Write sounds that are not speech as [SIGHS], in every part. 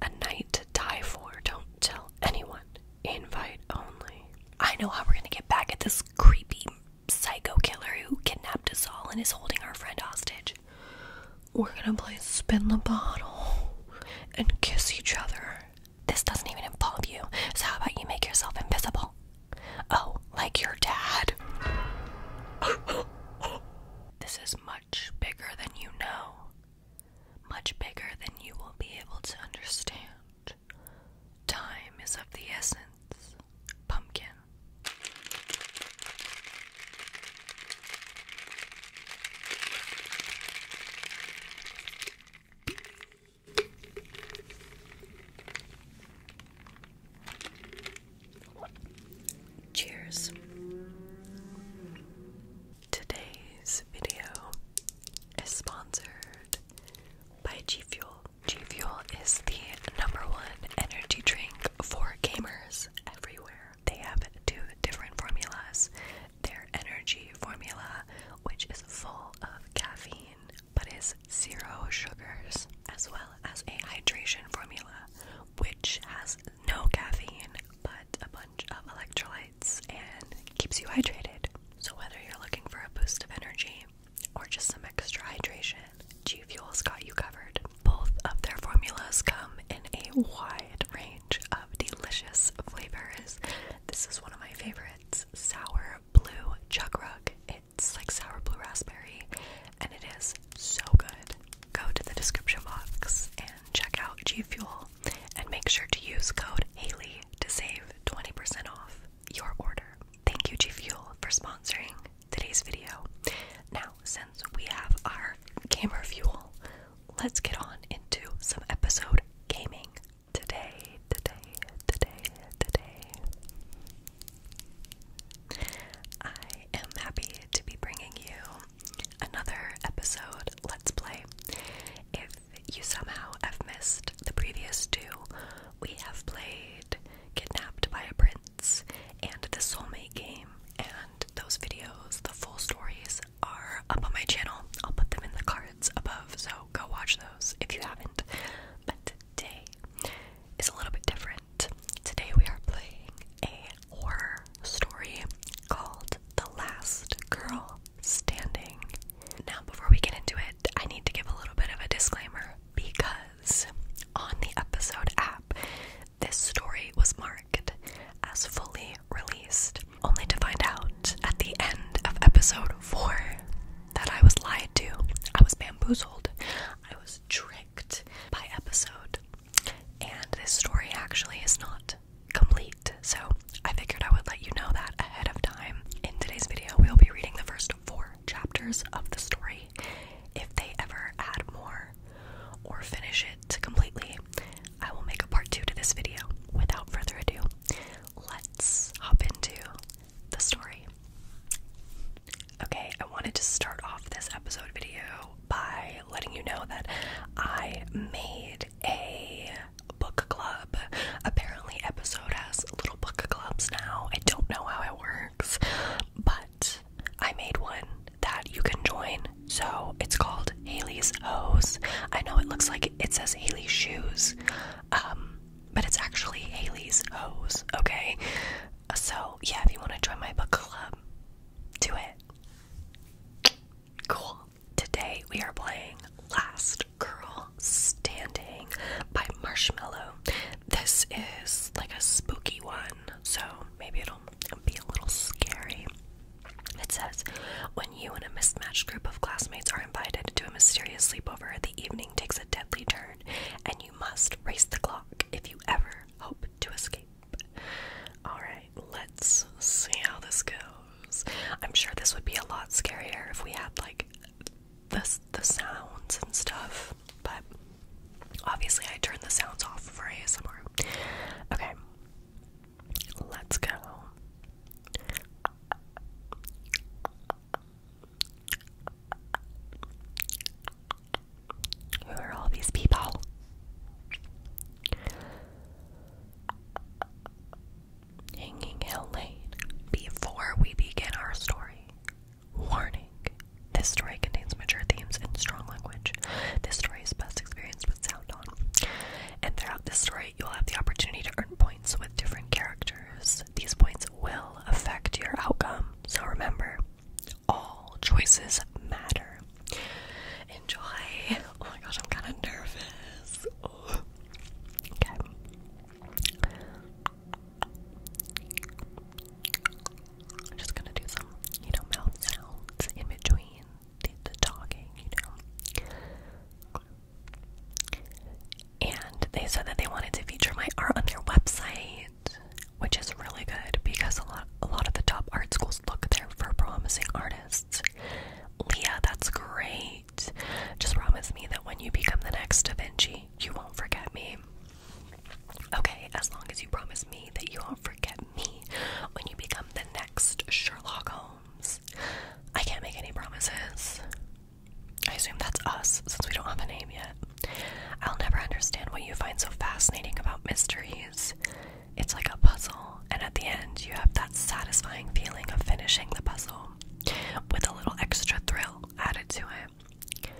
A night to die for. Don't tell anyone. Invite only. I know how we're gonna get back at this creepy psycho killer who kidnapped us all and is holding our friend hostage. We're gonna play spin the bottle and kiss each other. This doesn't even involve you, so how about you make yourself invisible? Oh, like your dad. [GASPS] this is much bigger than you know much bigger than you will be able to understand. Time is of the essence, pumpkin. Cheers. Today's video is sponsored by G Fuel. G Fuel is the number one energy drink for gamers everywhere. They have two different formulas their energy formula, which is full of caffeine but is zero sugars, as well as a hydration formula, which has no caffeine but a bunch of electrolytes and keeps you hydrated. So, whether you're looking for a boost of energy or just some extra hydration, G Fuel's got you covered. Both of their formulas come in a wide range of delicious flavors. This is one of my favorites sour blue chug rug. It's like sour blue raspberry, and it is so good. Go to the description box and check out G Fuel and make sure to use code Haley to save 20% off your order. Thank you, G Fuel, for sponsoring today's video. Now, since we have our gamer fuel, let's get on into some episode gaming today, today, today, today. I am happy to be bringing you another episode let's play. If you somehow have missed the previous two, we have played Kidnapped by a Prince and the Soulmate Game, and those videos, the full stories, are up on my channel. I'll put them in the cards above, so go watch those if you haven't. But today is a little bit different. Today we are playing a horror story called The Last Girl Standing. Now, before we get into it, I need to give a little bit of a disclaimer because on the episode app, this story was marked as fully released, only to find out at the end of episode 4 that I was lied to, I was bamboozled, I was tricked by episode. And this story actually is not complete, so I figured I would let you know that ahead of time. In today's video, we'll be reading the first four chapters of the story. If they ever add more or finish it completely, I will make a part two to this video. Without further ado, let's hop into the story. Okay, I wanted to start off this episode video by letting you know that I made a book club. Apparently, Episode has little book clubs now. I don't know how it works, but I made one that you can join. So it's called Haley's Hose. I know it looks like it says Haley's Shoes, um, but it's actually Haley's Hose, okay? So, yeah, if you want to join my book club, do it. Cool. Today we are playing Last Girl Standing by Marshmallow. This is like a spooky one, so maybe it'll be a little scary. It says, when you and a mismatched group of classmates are invited to a mysterious sleepover, the evening takes a deadly turn, and you must race the clock if you ever hope to escape. Alright let's see how this goes. I'm sure this would be a lot scarier if we had like the the sounds and stuff, but obviously I turned the sounds off for ASMR. Okay, let's go. Who are all these people? Hanging out late. Before we begin our story, warning. This story contains mature themes and strong language. This story is best experienced with sound on. And throughout this story, you'll have the opportunity to earn points with different characters. These points will affect your outcome, so remember, all choices matter. Enjoy. Oh my gosh, I'm kind of nervous. Okay. I'm just gonna do some, you know, mouth sounds in between the, the talking, you know. And they said that they wanted to feature my art on their website, which is really good because a lot, a lot of the top art schools look there for promising artists next. Leah, that's great. Just promise me that when you become the next Da Vinci, you won't forget me. Okay, as long as you promise me that you won't forget me when you become the next Sherlock Holmes. I can't make any promises. I assume that's us since we don't have a name yet. I'll never understand what you find so fascinating about mysteries. It's like a puzzle, and at the end, you have that satisfying feeling of finishing the puzzle with a little extra thrill added to it.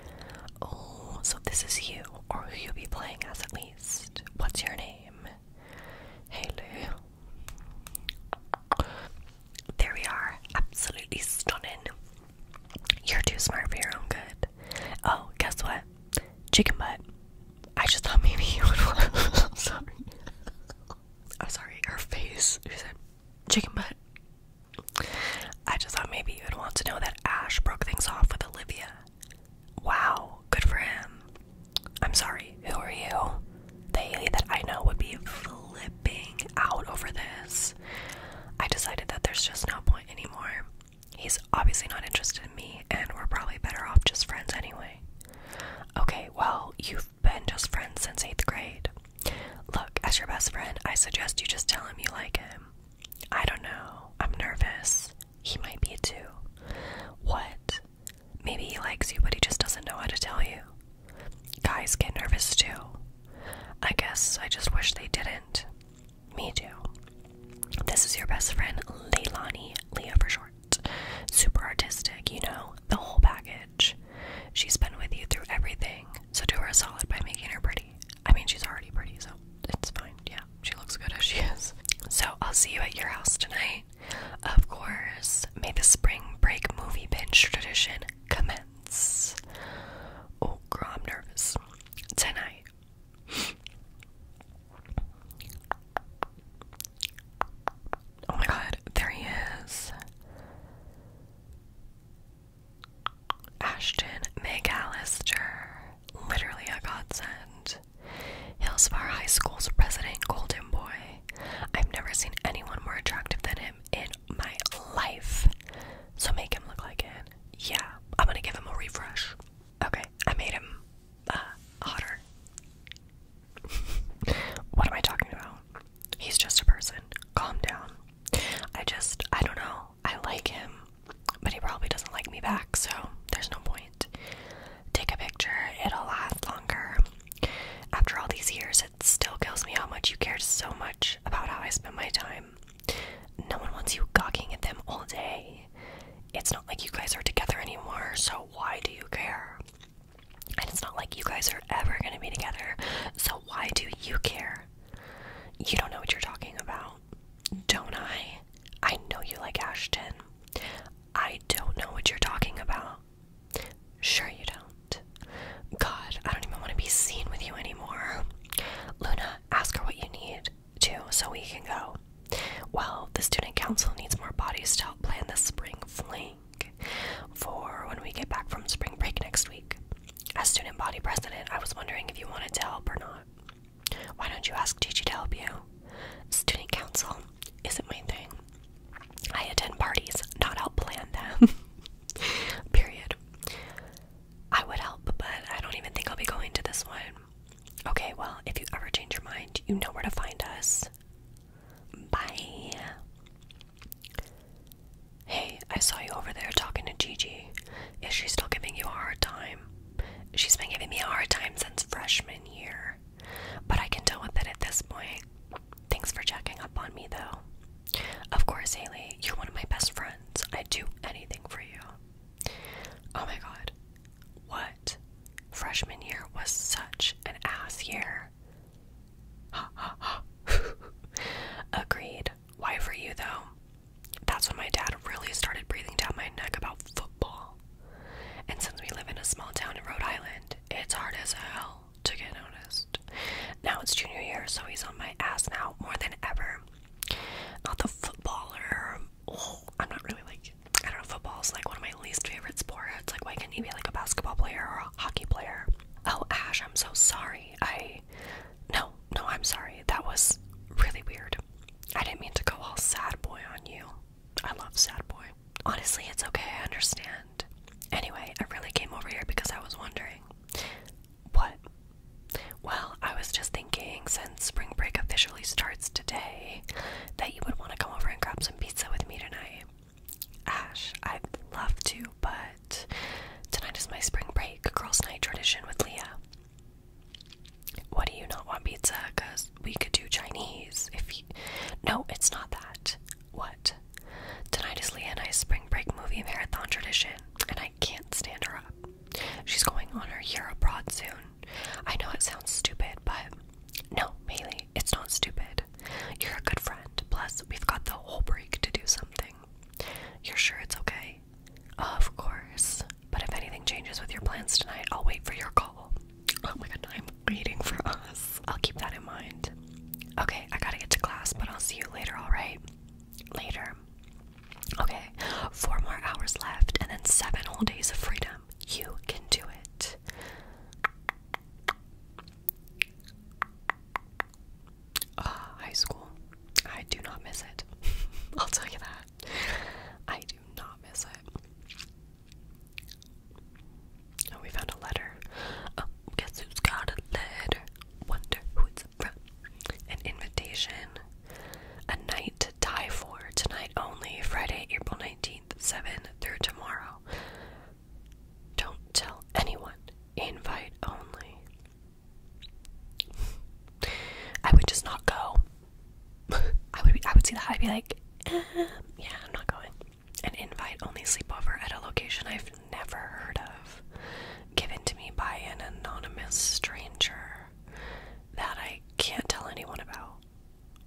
Oh, so this is you, or who you'll be playing as at least. What's your name? Hey, Lou. There we are. Absolutely stunning. You're too smart for your own good. Oh, guess what? Chicken butt. I just thought maybe you would want. [LAUGHS] sorry. I'm sorry. Her face. She said, "Chicken butt." I just thought maybe you would want to know that Ash broke things off with Olivia. Wow, good for him. I'm sorry. Who are you? The Haley that I know would be flipping out over this. I decided that there's just no point anymore. He's obviously not interested in me, and we're probably better off just friends anyway. Okay, well, you've been just friends since eighth grade. Look, as your best friend, I suggest you just tell him you like him. I don't know. I'm nervous. He might be too. What? Maybe he likes you, but he just doesn't know how to tell you. Guys get nervous too. I guess I just wish they didn't. Me too. This is your best friend, Leilani, Leah for short super artistic, you know, the whole package. She's been with you through everything, so do her a solid by making her pretty. I mean, she's already pretty, so it's fine. Yeah, she looks good as she is. So I'll see you at your house tonight. Of course, may the spring break movie binge tradition commence. Oh, girl, I'm nervous. Tonight. Oh my god, there he is. Ashton McAllister, literally a godsend. Hillsborough High School's president, Golden Boy. I've never seen anyone more attractive than him in my life. So make him look like it. Yeah, I'm gonna give him a refresh. Okay, I made him uh, hotter. [LAUGHS] what am I talking about? He's just a person. Calm down. I just, I don't know. I like him, but he probably doesn't like me back, so there's no point. Take a picture, it'll last longer. After all these years, it still kills me how much you cared so much about how I spend my time. No one wants you gawking at them all day. It's not like you guys are together anymore, so why do you care? And it's not like you guys are ever going to be together. So why do you care? You don't know what you're talking about. Don't I? I know you like Ashton. I don't know what you're talking about. Sure, you don't. God, I don't even want to be seen with you anymore. Luna, ask her what you need, too, so we can go. Well, the student council needs more bodies to help plan the spring fling for when we get back from spring break next week. As student body president, I was wondering if you wanted to help or not. Why don't you ask Gigi to help you? Student council isn't my thing. I attend parties, not help plan them. [LAUGHS] Period. I would help, but I don't even think I'll be going to this one. Okay, well, if you ever change your mind, you know where to find us. Bye. Hey, I saw you over there talking to Gigi. Is she still giving you a hard time? She's been giving me a hard time since freshman year. But I can deal with it at this point. Thanks for checking up on me, though. Of course, Haley, you're one of my best friends. I'd do anything for you. Oh my god. What? freshman year was such an ass year. [LAUGHS] Agreed. Why for you though? That's when my dad really started breathing down my neck about football. And since we live in a small town in Rhode Island, it's hard as hell to get noticed. Now it's junior year, so he's on my ass now more than ever. Not the footballer. Oh, I'm not really like I don't know, football's like one of my least favorite sports. Like, why can't he be like a basketball player or a hockey player? Oh, Ash, I'm so sorry. I. No, no, I'm sorry. That was really weird. I didn't mean to go all sad boy on you. I love sad boy. Honestly, it's okay. I understand. Anyway, I really came over here because I was wondering. What? Well, I was just thinking since spring break officially starts today that you would want to come over and grab some pizza with me tonight. Ash, I'd love to, but tonight is my spring break girls' night tradition with Leah. What do you not want pizza? Cause we could do Chinese. If you... no, it's not that. What? Tonight is Leah and I's spring break movie marathon tradition, and I can't stand her up. She's going on her year abroad soon. I know it sounds stupid, but no, Bailey, it's not stupid. You're a good friend. Plus, we've got the whole break to do something. You're sure it's okay? Oh, of course. But if anything changes with your plans tonight, I'll wait for your call. Oh my god, I'm waiting for us. I'll keep that in mind. Okay, I gotta get to class, but I'll see you later, alright? Later. Okay, four more hours left, and then seven whole days of freedom. You can do it. Uh, high school. I do not miss it. [LAUGHS] I'll tell you that. I do not miss it. Oh, we found a letter. Oh, guess who's got a letter? Wonder who it's from. An invitation. A night to die for. Tonight only. Friday, April 19th, 7 through tomorrow. Don't tell anyone. Invite only. [LAUGHS] I would just not go. [LAUGHS] I would I would see that. I'd be like, um, yeah, I'm not going. An invite only sleepover at a location I've never heard of, given to me by an anonymous stranger that I can't tell anyone about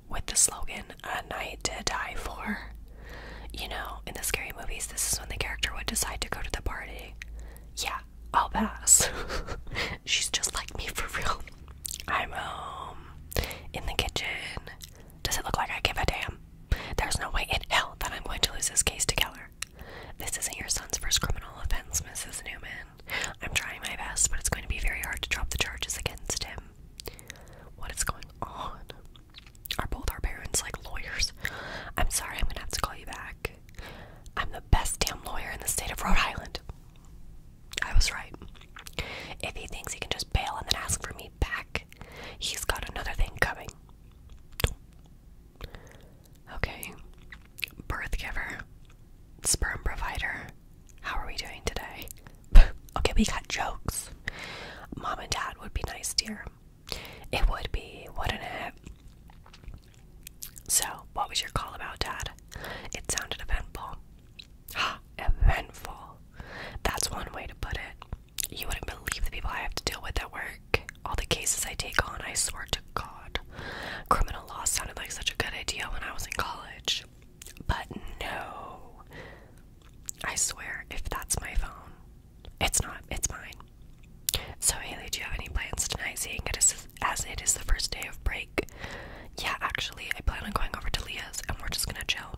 with the slogan "A Night to Die For." You know, in the scary movies, this is when the character would decide to go to the party. Yeah, I'll pass. [LAUGHS] She's just like me for real. I'm home um, in the kitchen. Does it look like I give a damn? There's no way in hell that I'm going to lose this case to Keller. This isn't your son's first criminal offense, Mrs. Newman. I'm trying my best, but it's going to be very hard to drop the charges against him. What is going on? Are both our parents like lawyers? I'm sorry, I'm gonna have to call you back. I'm the best damn lawyer in the state of Rhode Island. I was right. If he thinks he can just bail and then ask for me back, he's got another thing coming. Okay. Birth giver, sperm provider. How are we doing today? [LAUGHS] okay, we got jokes. Mom and dad would be nice, dear. It would be, wouldn't it? So, what was your call about, Dad? It sounded eventful. [GASPS] eventful. That's one way to put it. You wouldn't believe the people I have to deal with at work. All the cases I take on, I swear to God. Criminal law sounded like such a good idea when I was in college. But no. I swear, if that's my phone, it's not, it's mine. So, Haley, do you have any plans tonight, seeing as it is the first day of break? Yeah, actually, I plan on going over to Leah's and we're just gonna chill.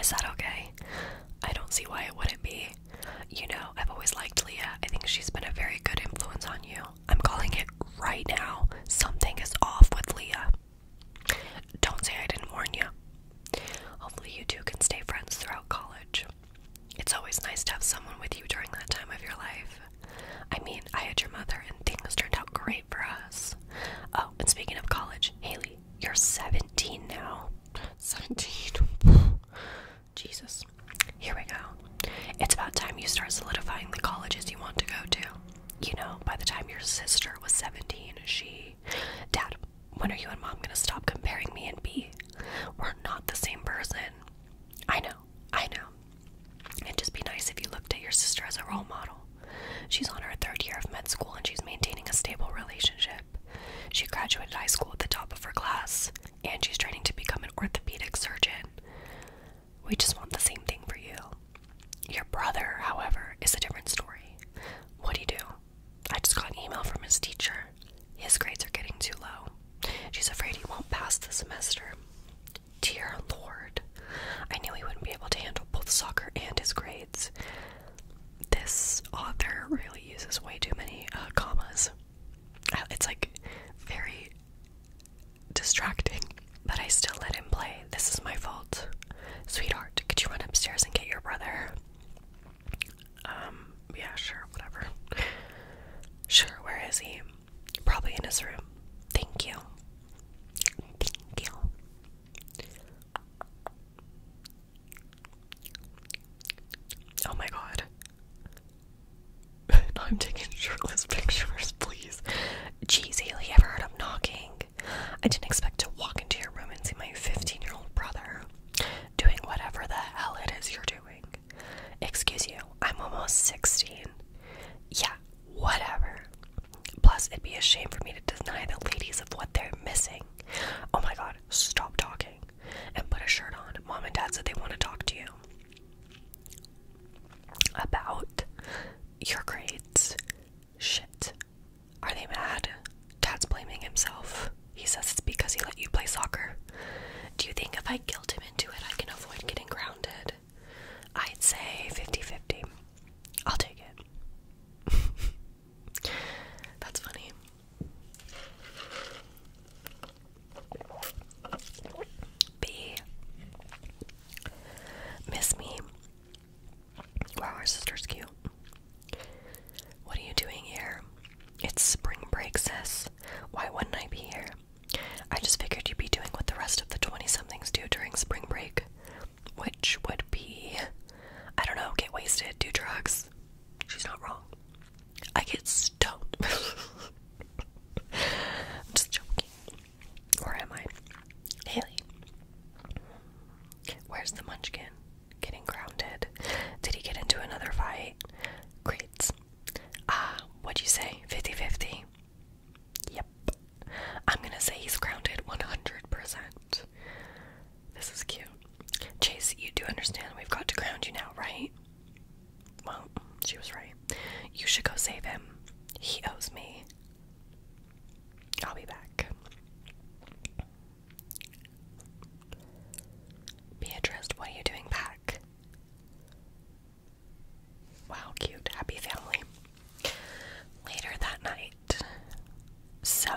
Is that okay? I don't see why it wouldn't be. You know, I've always liked Leah. I think she's been a very good influence on you. I'm calling it right now. Something is off with Leah. Don't say I didn't warn you. Hopefully, you two can stay friends throughout college. It's always nice to have someone with you during that time of your life. I mean, I had your mother, and things turned out great for us. Oh, and speaking of college, Haley, you're 17 now. 17? [LAUGHS] Jesus. Here we go. It's about time you start solidifying the colleges you want to go to. You know, by the time your sister was 17, she. Dad, when are you and mom gonna stop comparing me and B? We're not the same person. I know, I know. It'd just be nice if you looked at your sister as a role model. She's on her third year of med school and she's maintaining a stable relationship. She graduated high school at the top of her class and she's training to become an orthopedic surgeon. We just want the same thing for you. Your brother, however, is a different story. What do you do? I just got an email from his teacher. His grades are getting too low. She's afraid he won't pass the semester. Dear Lord, I knew he wouldn't be able to handle both soccer and his grades. This author really uses way too many uh, commas. It's like very distracting, but I still let him play. This is my fault. Sweetheart, could you run upstairs and get your brother? Um, yeah, sure, whatever. [LAUGHS] Sure, where is he? Probably in his room. Thank you. Thank you. Oh my god. [LAUGHS] I'm taking shirtless pictures, please. Jeez, Haley, ever heard of knocking? I didn't expect to walk into your room and see my 15 year old brother doing whatever the hell it is you're doing. Excuse you, I'm almost 16. Yeah, whatever. Plus, it'd be a shame for me to deny the ladies of what they're missing. Oh my god, stop talking and put a shirt on. Mom and dad said they want to talk to you about your grades, Shit. Are they mad? Dad's blaming himself. He says it's because he let you play soccer. Do you think if I guilt him into it, I can avoid getting grounded? I'd say 50 50. I'll take it. [LAUGHS] That's funny. B. Miss me. Wow, our sister's cute. What are you doing here? It's spring break, sis. Why wouldn't I be here? I just figured you'd be doing what the rest of the 20 somethings do during spring break, which would be, I don't know, get wasted, do drugs. She's not wrong. I get stoned. [LAUGHS] I'm just joking. Or am I? Haley. Where's the munchkin? getting grounded. Did he get into another fight? Great. Ah, what'd you say? 50 50? Yep. I'm gonna say he's grounded 100%. This is cute. Chase, you do understand we've got to ground you now, right? Well, she was right. You should go save him. He owes me. I'll be back. Beatrice, what are you doing back? Wow, cute. Happy family. Later that night. So,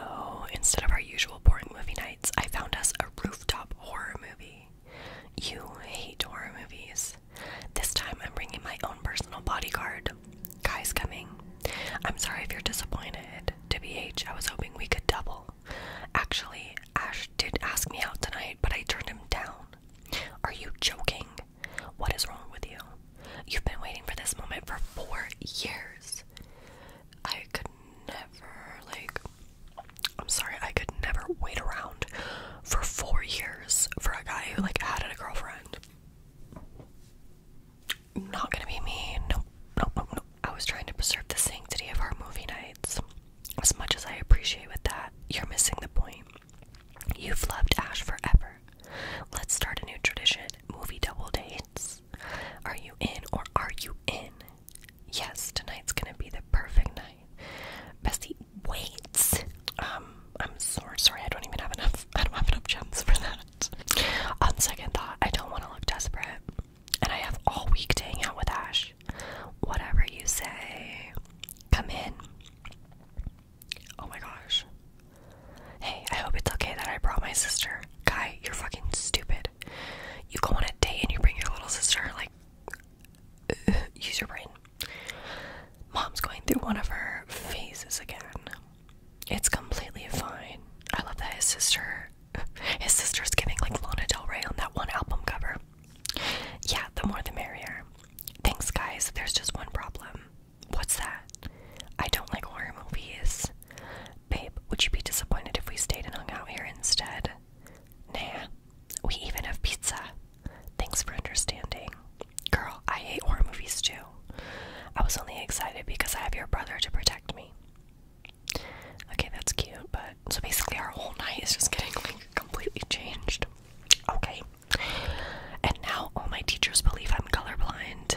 instead of our usual boring movie nights, I found us a rooftop horror movie. You hate horror movies. This time I'm bringing my own personal bodyguard. Guys coming. I'm sorry if you're disappointed. TBH, I was hoping we could double. Actually, Ash did ask me out tonight, but I turned him down. Are you joking? What is wrong with you? You've been waiting for this moment for four years. I could never, like, I'm sorry, I could never wait around for four years for a guy who, like, had a girlfriend not gonna be me. Nope, nope, nope, nope. I was trying to preserve the sanctity of our movie nights. As much as I appreciate with that, you're missing the point. You've loved Ash forever. Let's start a new tradition movie double dates. Are you in or are you in? Yes, tonight's gonna be the perfect night. Bestie, wait! Um, I'm sorry, sorry, I don't even have enough, I don't have enough gems for that. On second thought, I don't want to look desperate, and I have all week to hang out with Ash. Whatever you say, come in. Oh my gosh. Hey, I hope it's okay that I brought my sister. Guy, you're fucking stupid. You go on a date and you bring your little sister, like, use your brain. Mom's going through one of her phases again. It's completely fine. I love that his sister [LAUGHS] his sister's giving like Lana Del Rey on that one album cover. Yeah, the more the merrier. Thanks guys, there's just one problem. What's that? I don't like horror movies. Babe, would you be disappointed if we stayed and hung out here instead? Nah. We even have pizza. Thanks for understanding. Girl, I hate horror movies too. I was only excited because I have your brother to protect me. Okay, that's cute, but so basically our whole night is just getting like completely changed. Okay. And now all my teachers believe I'm colorblind.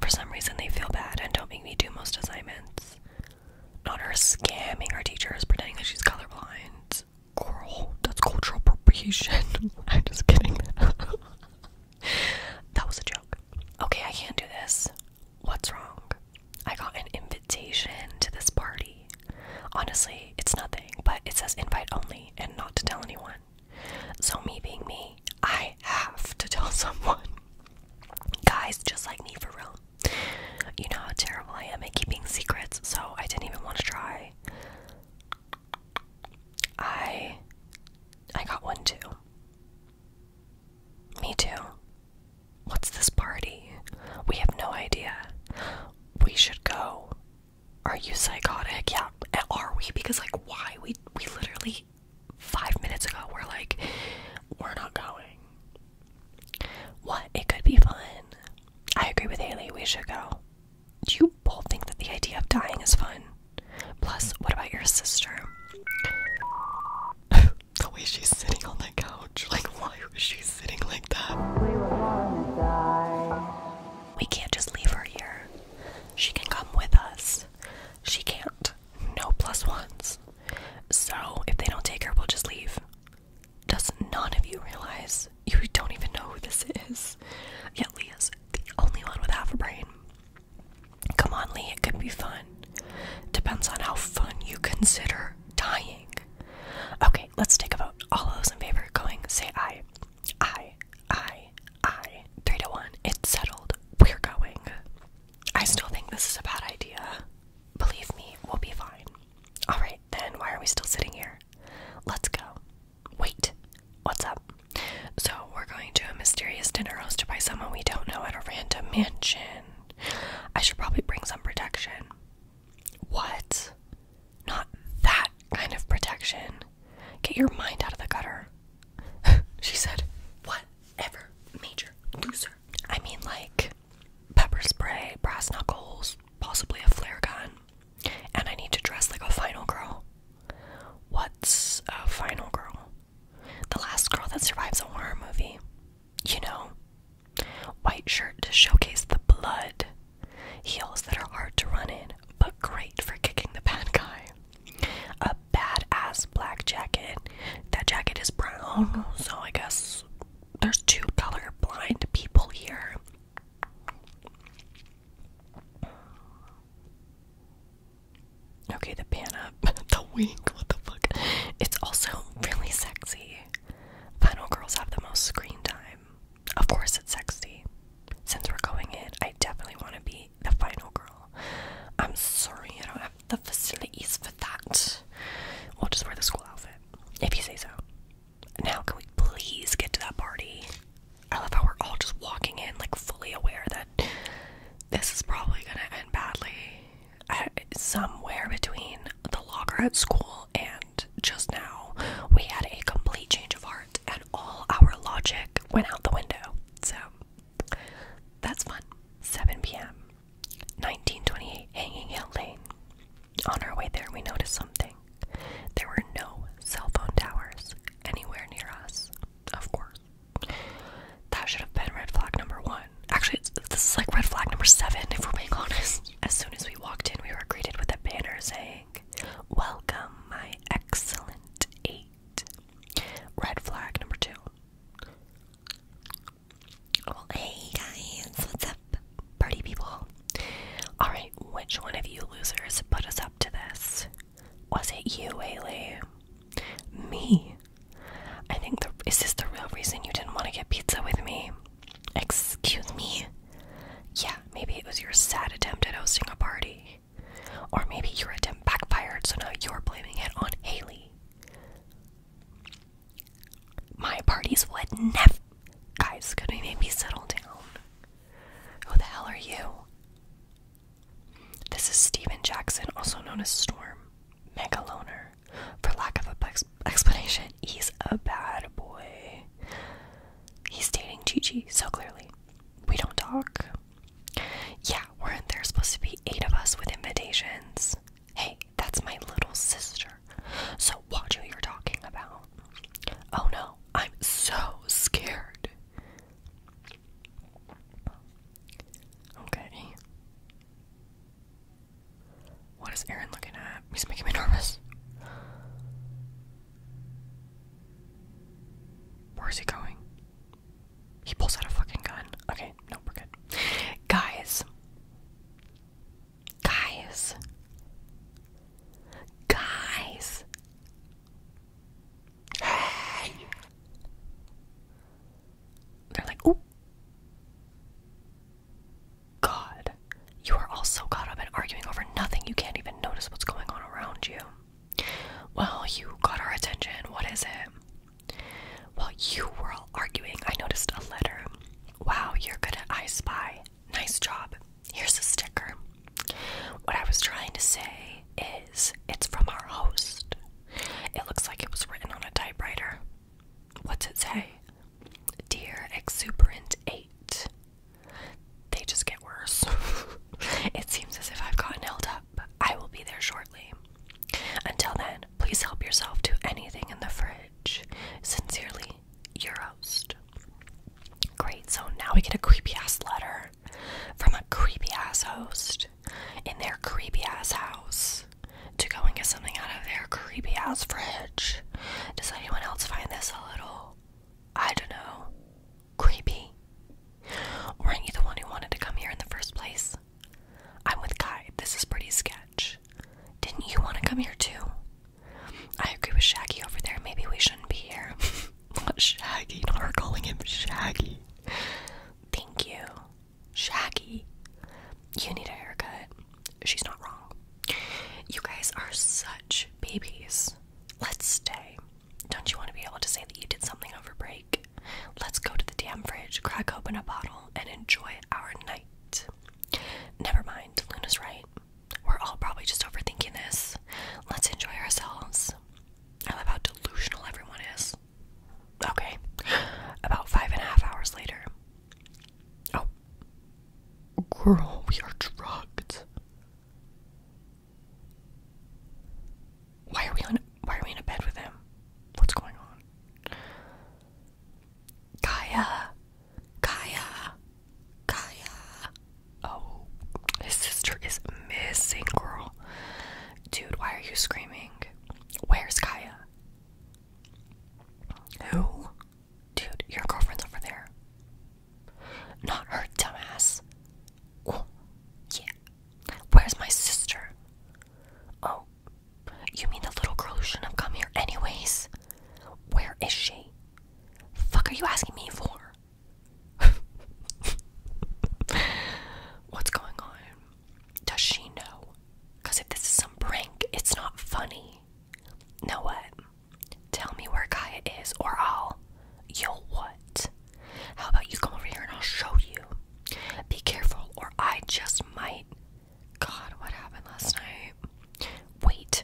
For some reason they feel bad and don't make me do most assignments. Not her scamming our teachers pretending that she's colorblind. Girl, that's cultural appropriation. [LAUGHS] I'm just kidding. [LAUGHS] that was a joke. Okay, I can't do this. What's wrong? I got an invitation to this party. Honestly, it's nothing, but it says invite only and not to tell anyone. So, me being me, I have to [LAUGHS] tell someone. Guys just like me for real. You know how terrible I am at keeping secrets, so I didn't even want to try. I I got one too. Me too. What's this party? We have no idea. We should go. Are you psychotic? Yeah, are we? Because like why? We we literally five minutes ago we're like, we're not going. What? It could be fun. I agree with Haley, we should go. Do you both think that the idea of dying is fun? Plus, what about your sister? [LAUGHS] the way she's sitting on that couch. Like, why is she sitting like that? We, can't just leave her here. She can come with us. She can't. No plus ones. So, if they don't take her, we'll just leave. Does none of you realize you don't even know who this is? Yet Leah's the only one with half a brain. Come on, Lee, it could be fun. Depends on how fun you consider dying. Okay, let's take a vote. All those in favor going, say I, I, I, I. Three to one. It's settled. We're going. I still think this is a bad idea. Believe me, we'll be fine. Alright, then why are we still sitting here? Let's go. Wait, what's up? So we're going to a mysterious dinner hosted by someone we don't know at a random mansion. I should probably bring some protection. What? Not that kind of protection. Get your mind out of the gutter. [LAUGHS] she said, Whatever, major loser. I mean, like pepper spray, brass knuckles, possibly a flare gun. And I need to dress like a final girl. What's a final girl? The last girl that survives a horror movie. You know, white shirt to showcase the blood, heels that are hard to run in, but great for kicking the bad guy. A bad ass black jacket. That jacket is brown, so I guess there's two color blind people here. Okay, the pan up, [LAUGHS] the wink, what the fuck? It's also really sexy. Final girls have the most screen time. Of course, it's sexy. Since we're going in, I definitely want to be the final girl. I'm sorry, I don't have the facilities for that. We'll just wear the school outfit, if you say so. Now, can we please get to that party? I love how we're all just walking in, like, fully aware that this is probably gonna end badly. somewhere between the locker at school and just now, we had a complete change of heart, and all our logic went out the window. So that's fun. 7 p.m. 1928 Hanging Hill Lane. On our way there, we noticed something. There were no cell phone towers anywhere near us, of course. That should have been red flag number one. Actually, this is like red flag number seven, if we're being [LAUGHS] honest. As soon as we walked in, we were greeted with a banner saying, Welcome, my excellent eight. Red flag number two. Well, hey guys, what's up, party people? Alright, which one of you losers put us up to this? Was it you, Ailey? Me? I think the is this the real reason you didn't want to get pizza with me? Excuse me? Yeah, maybe it was your sad attempt at hosting a party. Or maybe your attempt backfired, so now you're blaming it on Haley. My parties would never. Guys, could we maybe settle down? Who the hell are you? This is Steven Jackson, also known as Storm megaloner. For lack of a ex explanation, he's a bad boy. He's dating Gigi, so clearly. We don't talk. Yeah, weren't there supposed to be eight of us with invitations? Hey, that's my little sister. So watch who you're talking about. Oh no, I'm so scared. Okay. What is Aaron looking at? He's making me nervous. Where is he going? He pulls out a fucking gun. Okay, no, we're good. Guys. Guys. Guys. Hey. They're like, oh, God, you are all so caught up in arguing over nothing you can't even notice what's going on around you. Well, you got our attention. What is it? While you were all arguing. I noticed a letter. Wow, you're good at I Spy. Nice job. Here's a sticker. What I was trying to say is it's from our host. It looks like it was written on a typewriter. What's it say? Dear Exuberant 8. They just get worse. [LAUGHS] it seems as if I've gotten held up. I will be there shortly. Until then, please help yourself to anything in the fridge. Sincerely, your host. Great, so now we get a creepy ass letter from a creepy ass host in their creepy ass house to go and get something out of their creepy ass fridge. Does anyone else find this a little, I don't know, creepy? Weren't you the one who wanted to come here in the first place? I'm with Kai. This is pretty sketch. Didn't you want to come here too? I agree with Shaggy over there. Maybe we shouldn't be here. [LAUGHS] Not Shaggy. We're calling him Shaggy. Thank you. Shaggy, you need a haircut. She's not wrong. You guys are such babies. Let's stay. Don't you want to be able to say that you did something over break? Let's go to the damn fridge, crack open a bottle, and enjoy our night. Never mind, Luna's right. We're all probably just overthinking this. Let's enjoy ourselves. I love how delusional everyone is. Okay. About five and a half hours later. Oh. Girl, we are drugged. Why are we on why are we in a bed with him? What's going on? Kaya. Kaya. Kaya. Oh, his sister is missing, girl. Dude, why are you screaming? Where's Kaya? Who? Dude, your girlfriend's over there. Not her, dumbass. yeah. Where's my sister? Oh, you mean the little girl shouldn't have come here, anyways? Where is she? Fuck are you asking me for? [LAUGHS] What's going on? Does she know? Because if this is some prank, it's not funny. Know what? Tell me where Kaya is, or I'll. You'll what? How about you come over here and I'll show you? Be careful, or I just might. God, what happened last night? Wait,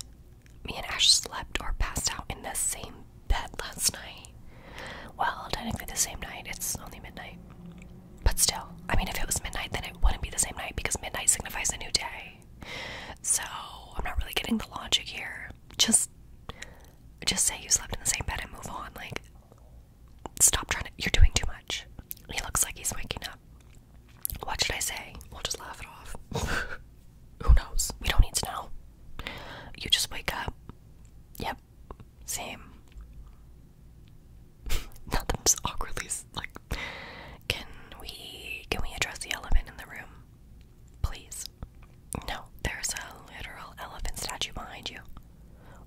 me and Ash slept or passed out in the same bed last night. Well, technically the same night, it's only midnight. But still, I mean, if it was midnight, then it wouldn't be the same night because midnight signifies a new day. So I'm not really getting the logic here. Just, just say you slept in the same bed and move on. Like, stop trying to. You're doing too much. He looks like he's waking up. What should I say? We'll just laugh it off. [LAUGHS] Who knows? We don't need to know. You just wake up. Yep. Same. [LAUGHS] now that awkwardly like, can we can we address the elephant in the room, please? No, there's a literal elephant statue behind you.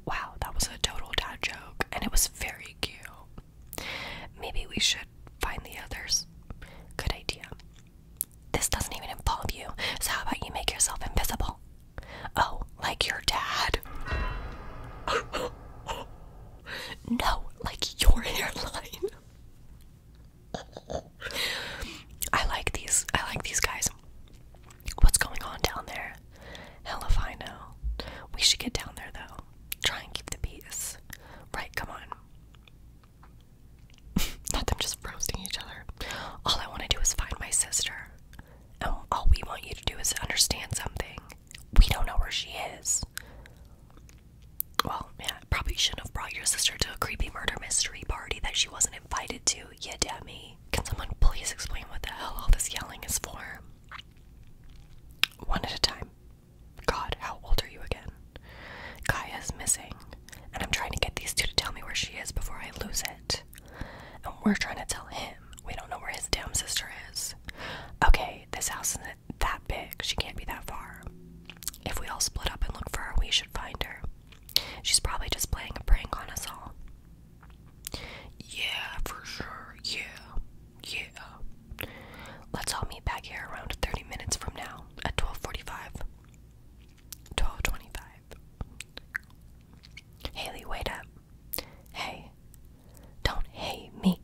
Wow, that was a total dad joke, and it was very cute. Maybe we should find the others. Good idea. This doesn't even involve you, so how about you make yourself invisible? Oh, like your dad? no, like your [LAUGHS] hairline. I like these. I like these guys. What's going on down there? Hell if I know. We should get down there though. Try and keep the peace. Right, come on. [LAUGHS] Not them just roasting each other. All I want to do is find my sister and oh, all we want you to do is understand something. We don't know where she is. Well, yeah, probably shouldn't have brought your sister to a creepy murder mystery party that she wasn't invited to, you dummy. Can someone please explain what the hell all this yelling is for? One at a time. God, how old are you again? Kaya's missing, and I'm trying to get these two to tell me where she is before I lose it. And we're trying to tell him we don't know where his damn sister is. Okay, this house isn't that big. She can't be that far. If we all split up and look for her, we should find her. She's probably just playing a prank on us all. Yeah, for sure. Yeah. Yeah. Let's all meet back here around 30 minutes from now at 12:45. 12:25. Haley, wait up. Hey, don't hate me.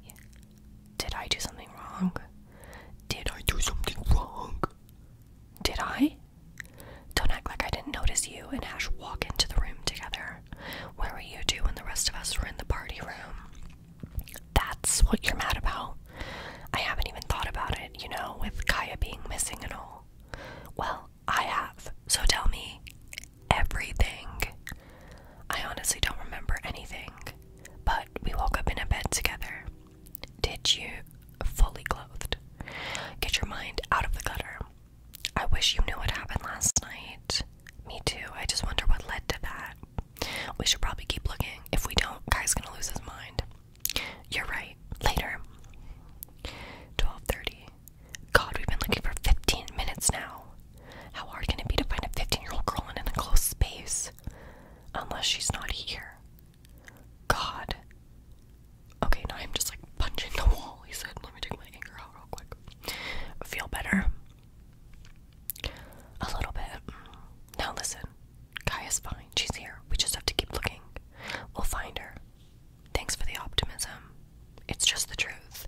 Did I do something wrong? Did I do something wrong? Did I? Don't act like I didn't notice you and Ash walk into the room together. Where were you two when the rest of us were in the party room? That's what you're mad about. I haven't even thought about it, you know, with Kaya being missing and all. Well, I have. So tell me, everything. I honestly don't remember anything, but we woke up in a bed together. Did you fully clothed? Get your mind out of the gutter. I wish you knew what happened last night. Me too. I just wonder what led to that. We should probably keep looking. If we don't, guy's gonna lose his mind. You're right. Later. 12:30. God, we've been looking for 15 minutes now. How hard can it be to find a 15 year old girl in an enclosed space? Unless she's not here. God. Okay, now I'm just like punching the wall. He said, let me take my anger out real quick. Feel better? A little bit. Now listen. Kaya's fine. She's here. We just have to keep looking. We'll find her. Thanks for the optimism. It's just the truth.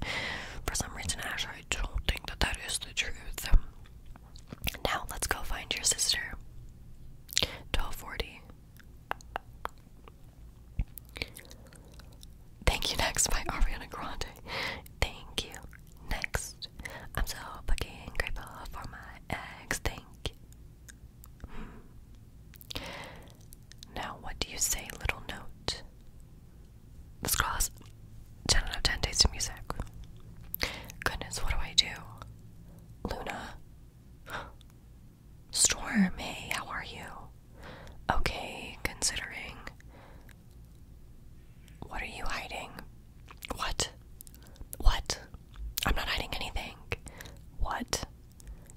For some reason, Ash, I don't think that that is the truth. Now, let's go find your sister. 1240. Thank you next by Ariana Grande. Thank you next. I'm so fucking grateful for my ex. Thank you. Hmm. Now, what do you say, little note? This class, 10 out of 10 days of music. Goodness, what do I do? Luna? [GASPS] Storm, hey, how are you? Okay, considering. What are you hiding? What? What? I'm not hiding anything. What?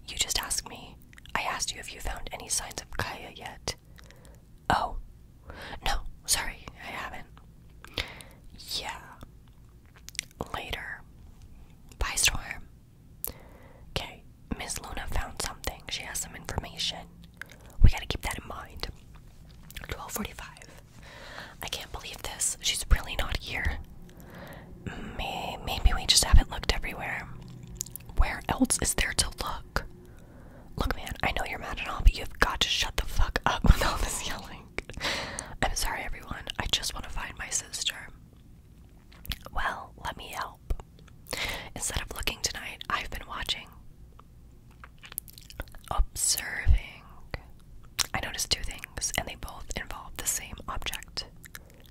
You just asked me. I asked you if you found any signs of Kaya yet. Oh. No, sorry, I haven't. Yeah. Later. Bye, storm. Okay, Miss Luna found something. She has some information. We gotta keep that in mind. 1245. I can't believe this. She's really not here. Maybe we just haven't looked everywhere. Where else is there to look? Look, man, I know you're mad at all, but you've got to shut the fuck up [LAUGHS] with all this yelling. I'm sorry, everyone. I just want to find my sister. Well, let me help. Instead of looking tonight, I've been watching. Observing. I noticed two things, and they both involve the same object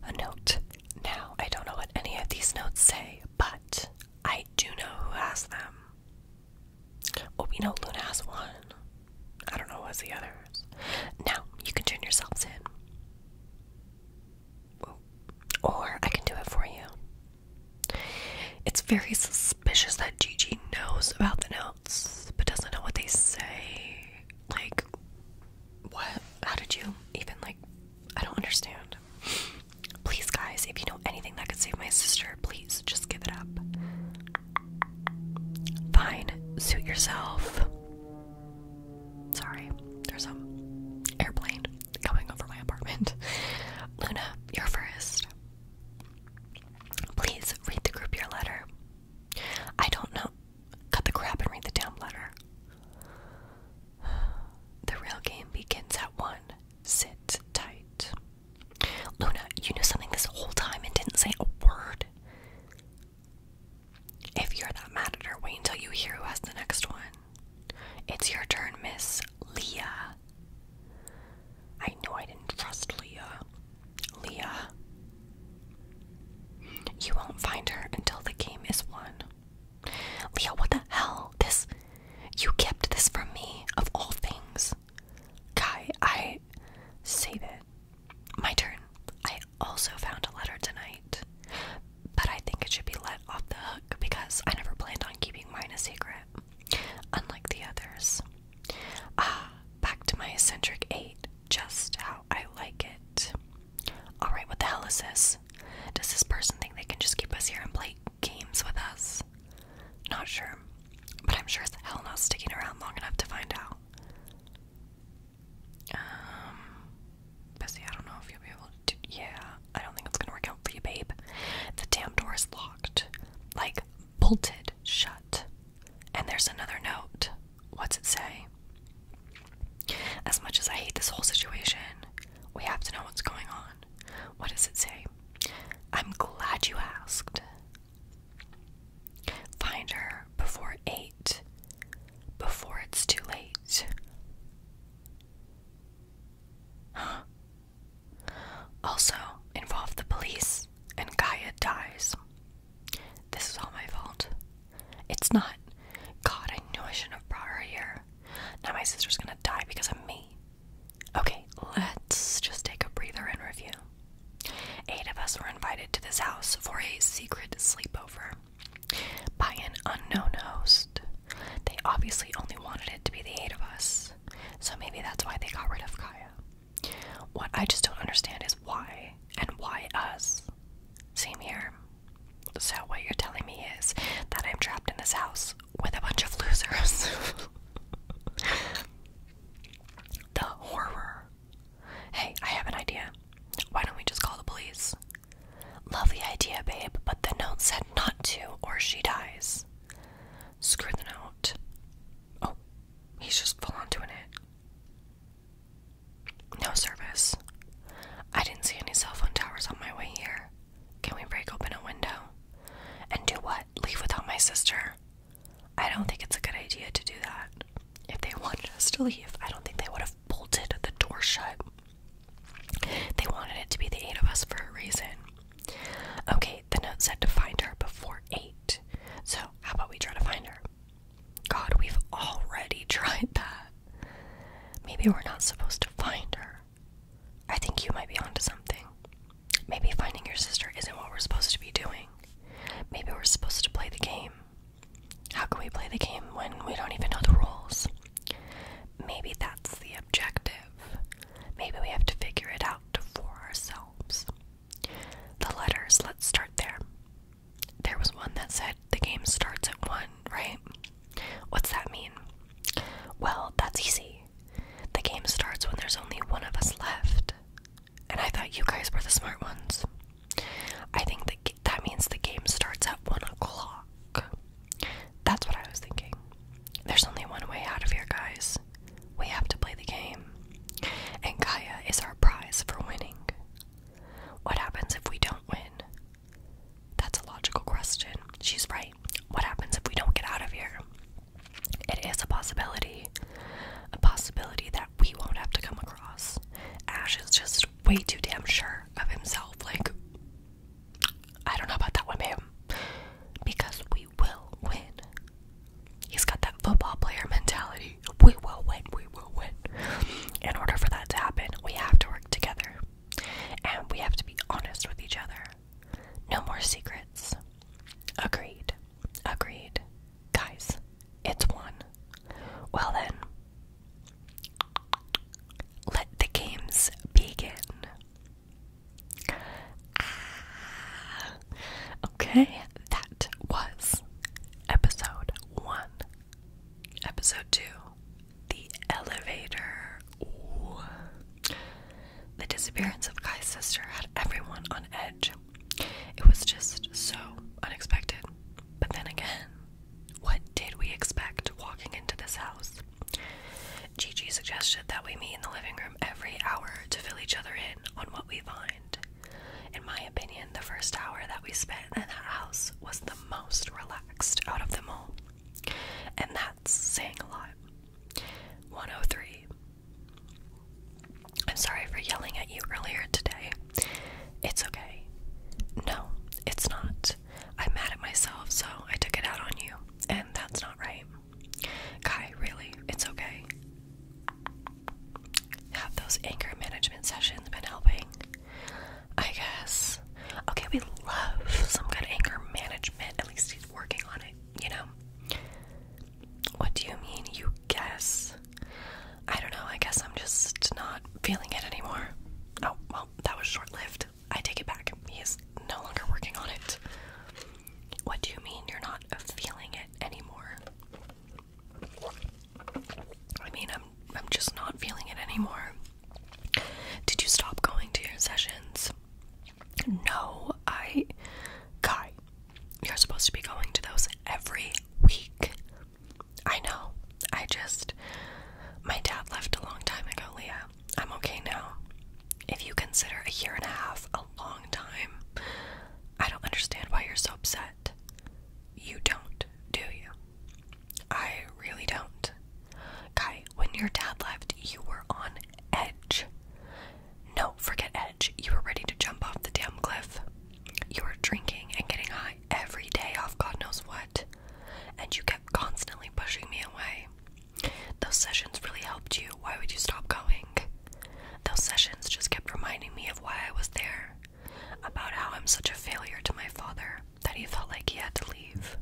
a note. Now, I don't know what any of these notes say, but I do know who has them. Oh, we know Luna has one. I don't know what's the others. Now, you can turn yourselves in. Or I can do it for you. It's very suspicious that Gigi knows about the notes, but doesn't know what they say. Like, what? How did you even, like, I don't understand. Please, guys, if you know anything that could save my sister, please just give it up. Fine, suit yourself. Sorry, there's an airplane coming over my apartment. [LAUGHS] Luna, you're first. Please read the group your letter. I don't know. Cut the crap and read the damn letter. [SIGHS] The real game begins at 1. Sit tight. Luna, you knew something this whole time and didn't say a word. If you're that mad at her, wait until you hear who has the next one. It's your turn, Miss Leah. I know I didn't trust Leah. Leah. You won't find her until the game is won. Leah, what the hell? This. You kept this from me, of all things. Guy, I. Save it. My turn. I also found a letter tonight. But I think it should be let off the hook because I never planned on keeping mine a secret, unlike the others. Ah, back to my eccentric eight. Just how I like it. Alright, what the hell is this? Does this person think they can just keep us here and play games with us? Not sure, but I'm sure it's hell not sticking around long enough to find out. Um, Bessie, I don't know if you'll be able to. Yeah, I don't think it's gonna work out for you, babe. The damn door is locked, like bolted shut. And there's another note. What's it say? As much as I hate this whole situation, we have to know what's going on. What does it say? I'm glad you asked. Find her before 8, before it's too late. Also, involve the police, and Gaia dies. This is all my fault. It's not. God, I knew I shouldn't have brought her here. Now my sister's gonna die because of me. Okay, let's just take a breather and review. Eight of us were invited to this house for a secret sleepover by an unknown host. They obviously only wanted it to be the eight of us, so maybe that's why they got rid of Kaya. What I just don't understand is why, and why us? Same here. So, what you're telling me is that I'm trapped in this house with a bunch of losers. [LAUGHS] the horror. Hey, I have an idea. Why don't we just call the police? Lovely idea, babe, but the note said not to, or she dies. Screw the note. Oh, he's just full on doing it. No service. I didn't see any cell phone towers on my way here. Can we break open a window? And do what? Leave without my sister? I don't think it's a good idea to do that. If they wanted us to leave, I don't think they would have bolted the door shut. They wanted it to be the eight of us for a reason. Okay, the note said to find her before eight. So, how about we try to find her? God, we've already [LAUGHS] tried that. Maybe we're not supposed to find her. I think you might be onto something. Maybe finding your sister isn't what we're supposed to be doing. Maybe we're supposed to play the game. How can we play the game when we don't even know the rules? Maybe that's the objective. Maybe we have to figure it out for ourselves. The letters, let's start there. There was one that said the game starts at 1, right? What's that mean? Well, that's easy. The game starts when there's only one of us left. And I thought you guys were the smart ones. I think that that means the game starts at one o'clock. That's what I was thinking. There's only one way out of here, guys. We have to play the game. And Gaia is our prize for winning. What happens if we don't win? That's a logical question. She's right. What happens if we don't get out of here? It is a possibility. A possibility that we won't have to come across. Ash is just way too damn sure of himself. Like, I don't know about that one, ma'am. Because we will win. He's got that football player mentality. We will win, we will win. In order for that to happen, we have to work together. And we have to be honest with each other. No more secrets. Agreed. Agreed. Guys, it's one. Well then, let the games begin. Ah, okay, that was episode one, episode two, the elevator. The disappearance of Kai's sister had everyone on edge. It was just so unexpected. But then again, what did we expect walking into this house? Gigi suggested that we meet in the living room every hour to fill each other in on what we find. In my opinion, the first hour that we spent in that house was the most relaxed out of them all. And that's saying a lot. 103. I'm sorry for yelling at you earlier today. It's okay. No, it's not. I'm mad at myself, so I took it out on you, and that's not right. Kai, really, it's okay. Have those anger management sessions been helping? I guess. Okay, we love some good anger management. At least working on it, you know? What do you mean, you guess? I don't know, I guess I'm just not feeling it anymore. Oh, well, that was short lived. I take it back. He is no longer working on it. What do you mean you're not feeling it anymore? I mean, I'm I'm just not feeling it anymore. Did you stop going to your sessions? No, I. Kai, you're supposed to be going to those every week. I know. I just. My dad left a long time ago, Leah. I'm okay now. If you consider a year and a half a long time, I don't understand why you're so upset. You don't, do you? I really don't. Kai, when your dad left, you were on edge. No, forget edge. You were ready to jump off the damn cliff. You were drinking and getting high every day off God knows what, and you kept constantly pushing me away. Those sessions really helped you. Why would you stop going? Those sessions just kept reminding me of why I was there, about how I'm such a failure to my father that he felt like he had to leave.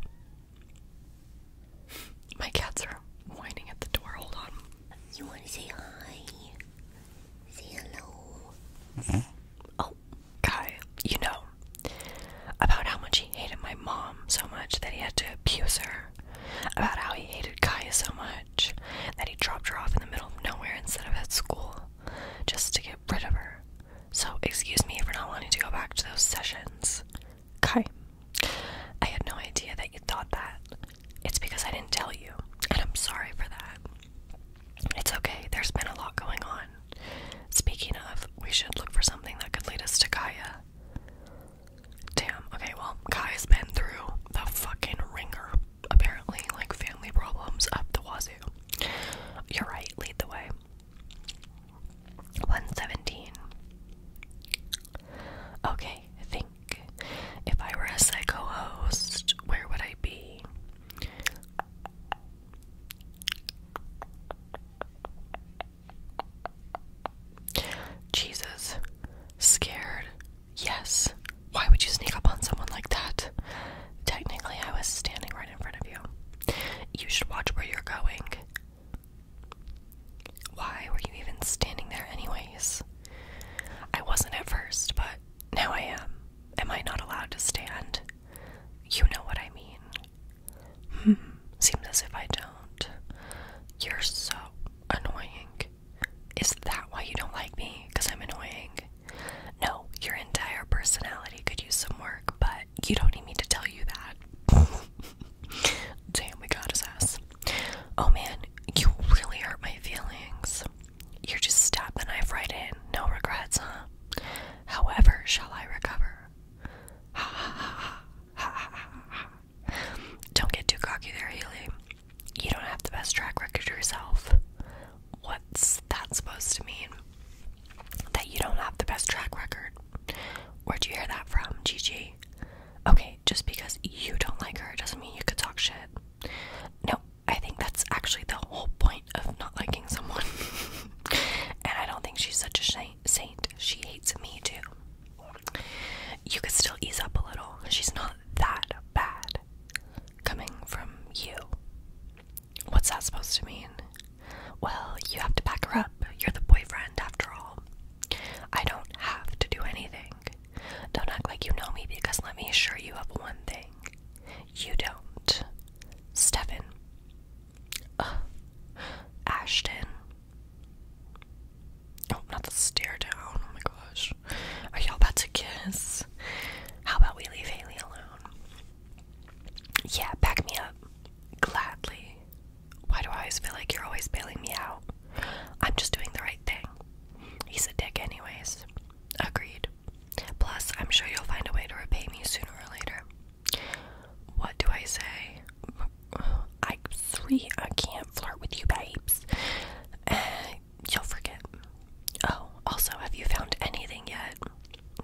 My cats are whining at the door. Hold on. You want to say hi? Say hello. Mm Oh, Guy, you know about how much he hated my mom so much that he had to abuse her. About how he hated Kaya so much that he dropped her off in the middle of nowhere instead of at school just to get rid of her. So, excuse me for not wanting to go back to those sessions. Kai, I had no idea that you thought that. It's because I didn't tell you, and I'm sorry for that. It's okay, there's been a lot going on. Speaking of, we should look for something that could lead us to Kaya. Damn, okay, well, Kaya's been through the fucking ringer, apparently, like family problems up the wazoo. You're right, lead the way. 117. Okay, think. If I were a psycho host, where would I be? Jesus. Scared? Yes. Why would you sneak up on someone like that? Technically, I was standing right in front of you. You should watch where you're going. Why were you even standing there, anyways? I wasn't at first, but now I am. Am I not allowed to stand? You know what I mean. Hmm, seems as if I don't. You're so annoying. Is that why you don't like me? Because I'm annoying? No, your entire personality could use some work, but you don't need me to tell you that. [LAUGHS] [LAUGHS] Damn, we got his ass. Oh man, you really hurt my feelings. You're just stab the knife right in. No regrets, huh? However, shall I recover? Ha ha ha ha ha. Don't get too cocky there, Haley. You don't have the best track record yourself. What's that supposed to mean? That you don't have the best track record? Where'd you hear that from, Gigi? Okay, just because you don't like her doesn't mean you could talk shit. No, I think that's actually the whole point of not liking someone. [LAUGHS] and I don't think she's such a saint. She hates me too. You could still ease up a little. She's not that bad. Coming from you. What's that supposed to mean? Well, you have to back her up. You're the boyfriend after all. I don't have to do anything. Don't act like you know me because let me assure you of one thing. You don't. Stephen. Ashton. Oh, not the stare down. Oh my gosh. Are y'all about to kiss? How about we leave Haley alone? Yeah, back me up. Gladly. Why do I always feel like you're always bailing me out? I'm just doing the right thing. He's a dick, anyways. Agreed. Plus, I'm sure you'll find a way to repay me sooner or later. What do I say? I three. I can't flirt with you, babes. Eh, you'll forget. Oh, also, have you found anything yet?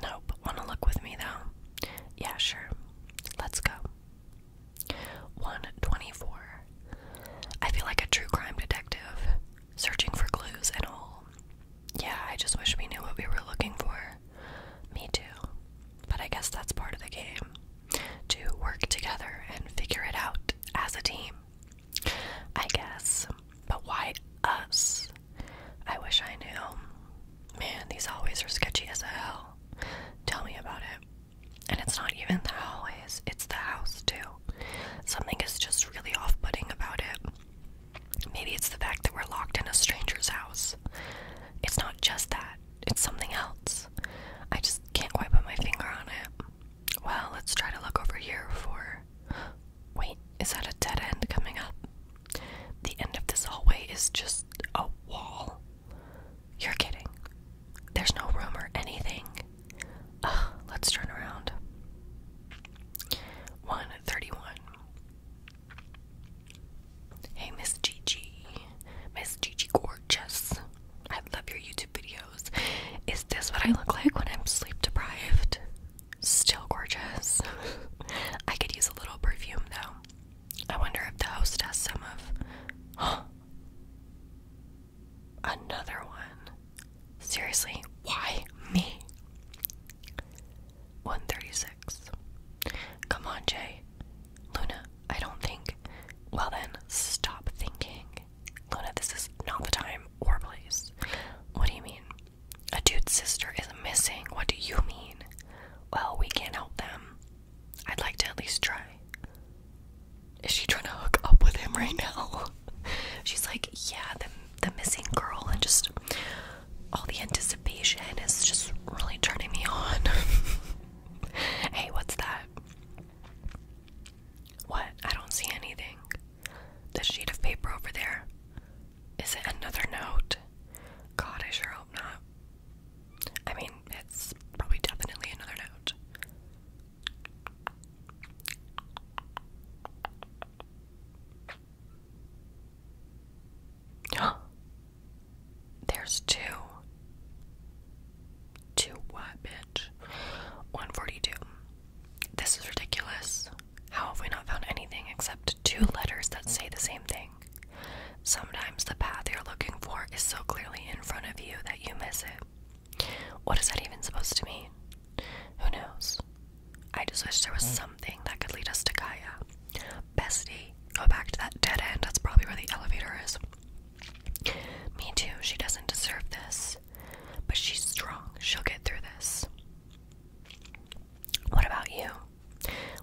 Nope. Wanna look with me though? Yeah, sure. Let's go. 124. I feel like a true crime detective, searching for clues and all. Yeah, I just wish we knew what we were looking for. Me too. But I guess that's part of the game to work together and figure it out as a team. I guess. But why us? I wish I knew. Man, these hallways are sketchy as hell. Tell me about it. And it's not even the hallways, it's the house too. Something is just really off putting about it. Maybe it's the fact that we're locked in a stranger's house. It's not just that, it's something else. I just can't quite put my finger on it. Well, let's try to look over here for. Wait, is that a dead end coming up? The end of this hallway is just a wall. You're kidding. There's no room or anything. Ugh, let's turn around. 131. Hey, Miss Gigi. Miss Gigi Gorgeous. I love your YouTube videos. Is this what I look like when I'm sleep deprived? Still gorgeous. [LAUGHS] I could use a little perfume though. I wonder if the host has some of. [GASPS] Another one. Seriously, why me? 136. Come on, Jay. Luna, I don't think. Well, then, stop thinking. Luna, this is not the time or place. What do you mean? A dude's sister is missing. What do you mean? Well, we can't help them. I'd like to at least try. Is she trying to hook up with him right now? [LAUGHS] She's like, yeah, the the missing girl and just all the anticipation is just really turning me on. [LAUGHS] hey, what's that? What? I don't see anything. The sheet of paper over there. Is it another note? God, I sure hope not. I mean, it's probably definitely another note. [GASPS] There's two. Two what, bitch? 142. This is ridiculous. How have we not found anything except two letters that say the same thing? Sometimes the path you're looking for is so clearly in front of you that you miss it. What is that even supposed to mean? Who knows? I just wish there was hmm. something that could lead us to Gaia. Bestie, go back to that dead end. That's probably where the elevator is. Me too. She doesn't deserve this. But she's strong. She'll get through this. What about you?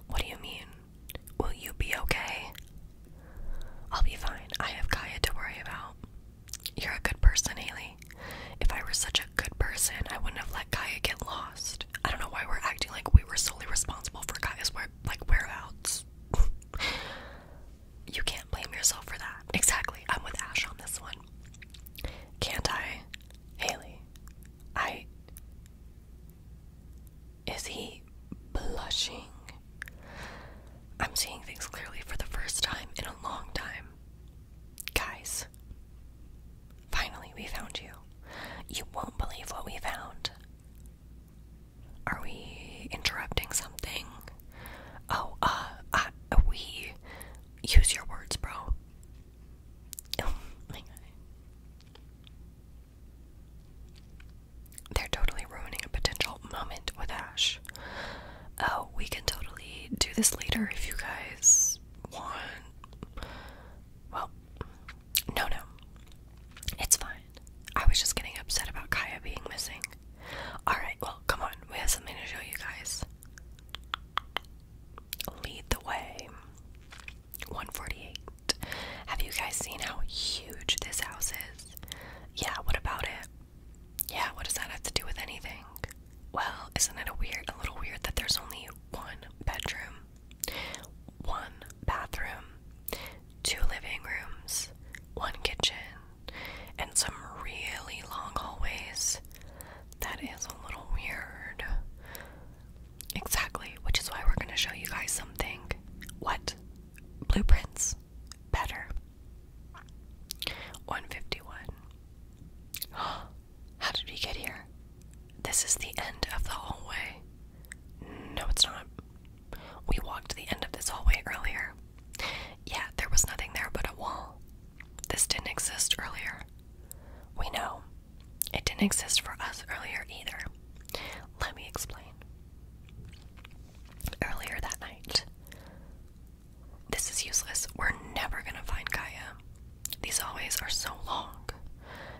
What do you mean? Will you be okay? I'll be fine. I have Kaya to worry about. You're a good person, Haley. If I were such a good person, I wouldn't have let Kaya get lost. I don't know why we're acting like we were solely responsible for Kaya's like whereabouts. [LAUGHS] you can't blame yourself for that. Exactly. I'm with Ash on this one. Can't I? Haley. I is he blushing? I'm seeing things clearly for the first time in a long time. Guys, finally we found you. You won't believe what we found. Are we interrupting something? Oh, uh, uh we use your words, bro. [LAUGHS] Oh they're totally ruining a potential moment with Ash. Oh, we can totally do this later if you guys want. Well, no, no. It's fine. I was just getting upset about Kaya being missing. Alright, well, come on. We have something to show you guys. Lead the way. 148. Have you guys seen how huge this house is? Yeah, what about it? Yeah, what does that have to do with anything? Well, isn't it a weird a little weird that there's only one bedroom, one bathroom, two living rooms, one kitchen, and some really long hallways? That is a little weird. Exactly, which is why we're going to show you guys something. What? Blueprints better. 151. [GASPS] How did we get here? This is the end of the hallway. No, it's not. We walked the end of this hallway earlier. Yeah, there was nothing there but a wall. This didn't exist earlier. We know. It didn't exist for us earlier either. Let me explain. Earlier that night. This is useless. We're never gonna find Kaya. These hallways are so long.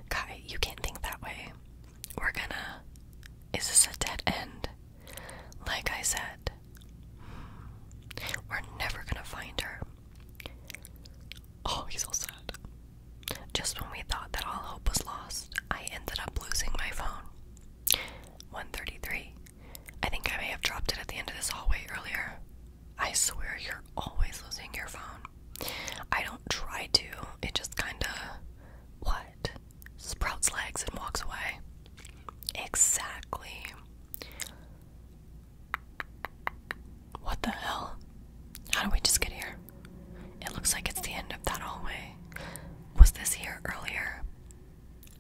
Kai, you can't think that way. We're gonna. Is this a dead end? Like I said, we're never gonna find her. Oh, he's so sad. Just when we thought that all hope was lost, I ended up losing my phone. 133. I think I may have dropped it at the end of this hallway earlier. I swear you're always losing your phone. I don't try to, it just kinda. What? Sprouts legs and walks away. Exactly. What the hell? How do we just get here? It looks like it's the end of that hallway was this here earlier,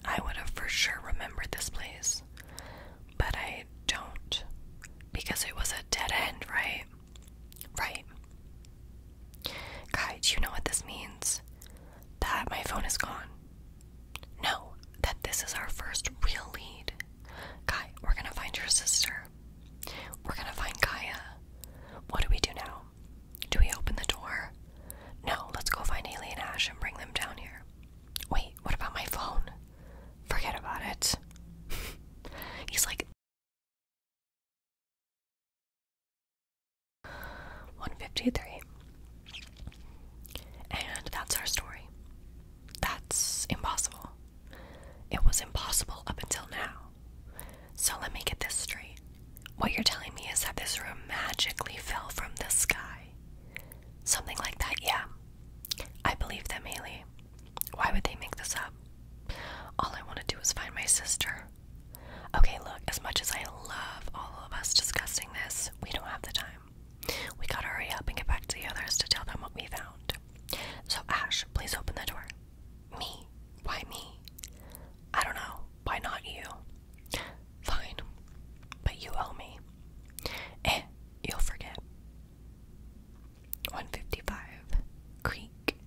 I would have for sure remembered this place. But I don't. Because it was a dead end, right? Right. Kai, do you know what this means? That my phone is gone. No, that this is our first real lead. Kai, we're gonna find your sister. We're gonna find Kaya. What do we do now? Do we open the door? No, let's go find Haley and Ash and bring them down here. Wait, what about my phone? Forget about it. [LAUGHS] He's like 153. And that's our story. That's impossible. It was impossible up until now. So let me get this straight. What you're telling me is that this room magically fell from the sky. Something like that, yeah. I believe them, Haley. Why would they make this up? All I want to do is find my sister. Okay, look, as much as I love all of us discussing this, we don't have the time. We gotta hurry up and get back to the others to tell them what we found. So, Ash, please open the door. Me? Why me? I don't know. Why not you? Fine. But you owe me. Eh, you'll forget. 155 Creek.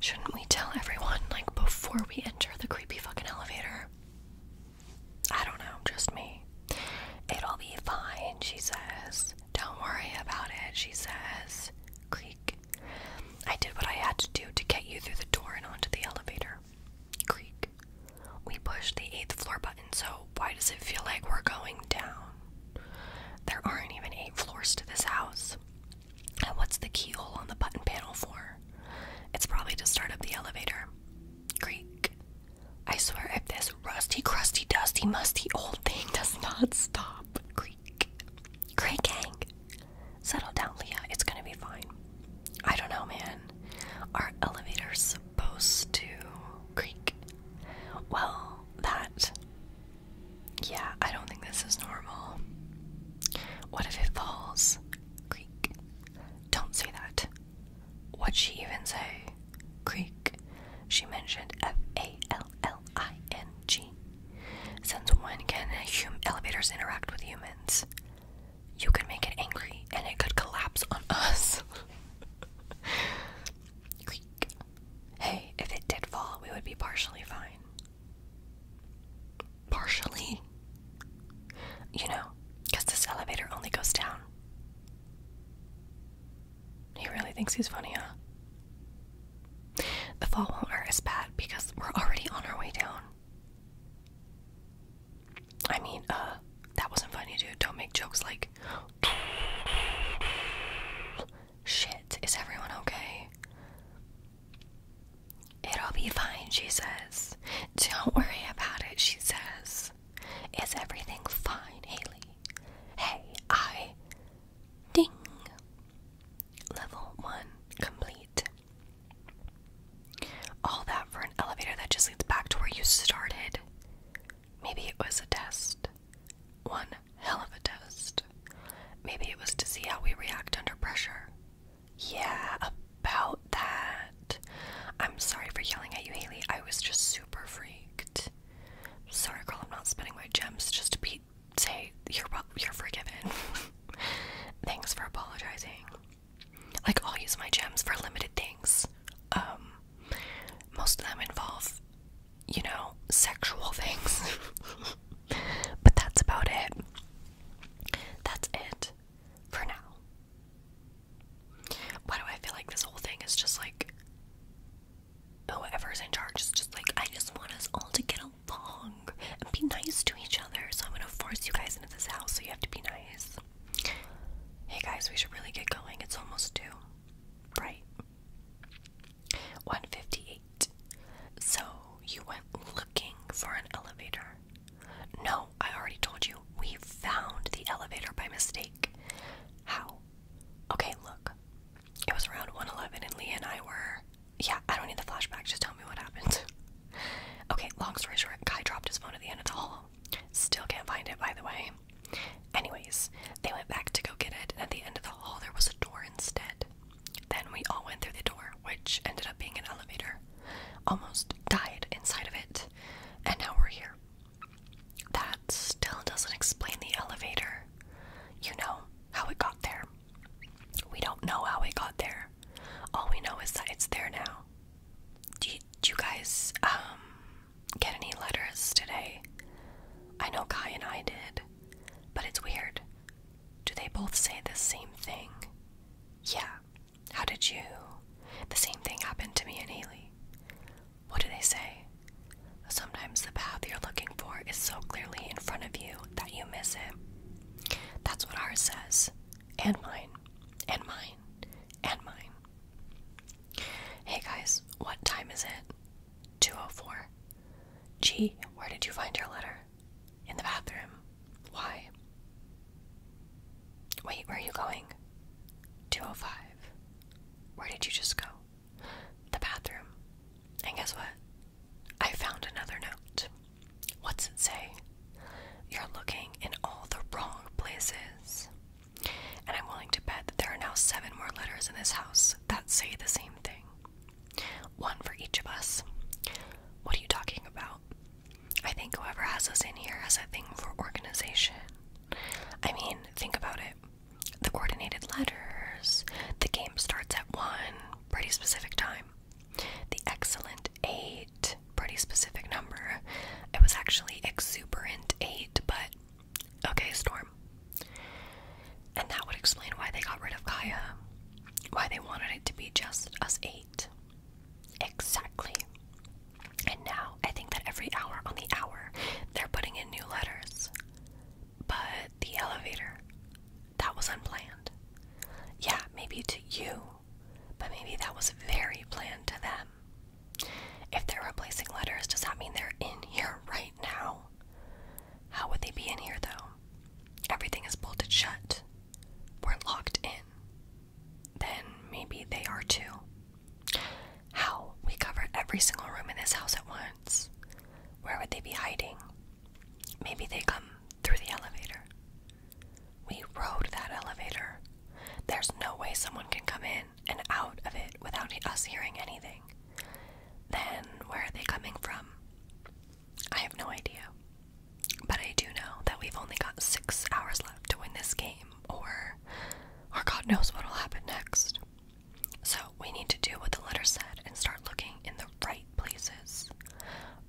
Shouldn't we tell everyone, like, before we enter the creepy fucking elevator? I don't know, just me. It'll be fine, she says. Don't worry about it, she says. Creepy. I did what I had to do to get you through the door and onto the elevator. Creak. We pushed the eighth floor button, so why does it feel like we're going down? There aren't even eight floors to this house. And what's the keyhole on the button panel for? It's probably to start up the elevator. Creak. I swear, if this rusty, crusty, dusty, musty old thing does not stop, creak. Great, great Settle down, Leah. It's gonna be fine. I don't know, man. Our elevator's supposed to creak. Well, that. Yeah, I don't think this is normal. What if it falls? Creak. Don't say that. What'd she even say? Creak. She mentioned F A L L I N G. Since when can hum elevators interact with humans? You could make it angry and it could collapse on us. [LAUGHS] Hey, if it did fall, we would be partially fine. Partially? You know, because this elevator only goes down. He really thinks he's funny, huh? The fall won't hurt as bad because we're already on our way down. I mean, uh, that wasn't funny, dude. Don't make jokes like. Shit, is everyone okay? It'll be fine, she says. Don't worry about it, she says. Is everything fine, Haley? Hey, I. Ding! Level 1 complete. All that for an elevator that just leads back to where you started. Maybe it was a test. One hell of a test. Maybe it was to see how we react under pressure. Yeah, about that. I'm sorry for yelling at you, Haley. I was just super freaked. Sorry, girl, I'm not spending my gems just to be say you're you're forgiven. [LAUGHS] Thanks for apologizing. Like I'll use my gems for limited things. Um, most of them involve, you know, sexual [LAUGHS] things. but that's about it. That's it for now. Why do I feel like this whole thing is just like whoever's in charge is just like I just want us all to get along along and be nice to each other. So I'm gonna force you guys into this house, so you have to be nice. Hey guys, we should really get going. It's almost two, Right. 158. So you went looking for an elevator. No, I already told you. We found the elevator by mistake. How? Okay, look. It was around 111 and Lee and I were yeah, I don't need the flashback. Just tell me what happened. [LAUGHS] okay, long story short, Kai dropped his phone at the end of the hall. Still can't find it, by the way. Anyways, they went back to go get it, and at the end of the hall, there was a door instead. Then we all went through the door, which ended up being an elevator. Almost died inside of it, and now we're here. That still doesn't explain the elevator. You know how it got there. We don't know how it got there. All we know is that it's there now. Do you, guys um, get any letters today? I know Kai and I did, but it's weird. Do they both say the same thing? Yeah. How did you? The same thing happened to me and Haley. What do they say? Sometimes the path you're looking for is so clearly in front of you that you miss it. That's what ours says. And mine. And mine. And mine. Hey guys, what time is it? 204. Gee, where did you find your letter? In the bathroom. Why? Wait, where are you going? 205. Where did you just go? The bathroom. And guess what? I found another note. What's it say? You're looking in all the wrong places. And I'm willing to bet that there are now seven more letters in this house that say the same thing. One for each of us. What are you talking about? I think whoever has us in here has a thing for organization. I mean, think about it. The coordinated letters, the game starts at one pretty specific time. The excellent eight, pretty specific number. It was actually exuberant eight, but okay, Storm. And that would explain why they got rid of Kaya, why they wanted it to be just us eight. Exactly. And now I think that every hour on the hour, they're putting in new letters. But the elevator that was unplanned. Yeah, maybe to you, but maybe that was very planned to them. If they're replacing letters, does that mean they're in here right now? How would they be in here though? Everything is bolted shut. We're locked in. Then maybe they are too. How? We cover every single room in this house at once. Where would they be hiding? Maybe they come through the elevator. We rode that elevator. There's no way someone can come in and out of it without us hearing anything. Then, where are they coming from? I have no idea. But I do know that we've only got six hours left to win this game, or, or God knows what'll happen next. So, we need to do what the letter said and start looking in the right places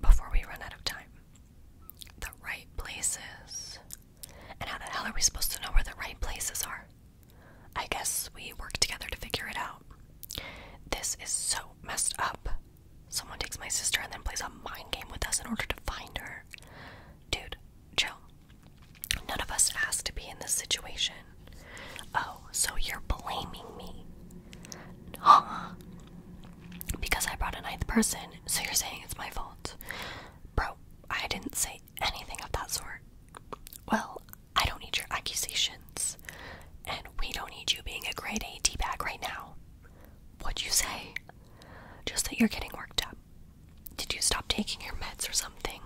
before we run out of time the right places. And how the hell are we supposed to know where the right places are? I guess we work together to figure it out. This is so messed up. Someone takes my sister and then plays a mind game with us in order to find her. Dude, chill. None of us asked to be in this situation. Oh, so you're blaming me. [GASPS] Because I brought a ninth person, so you're saying it's my fault. Bro, I didn't say anything of that sort. Well, I don't need your accusations. And we don't need you being a grade A D bag right now. What'd you say? Just that you're getting worked up. Did you stop taking your meds or something?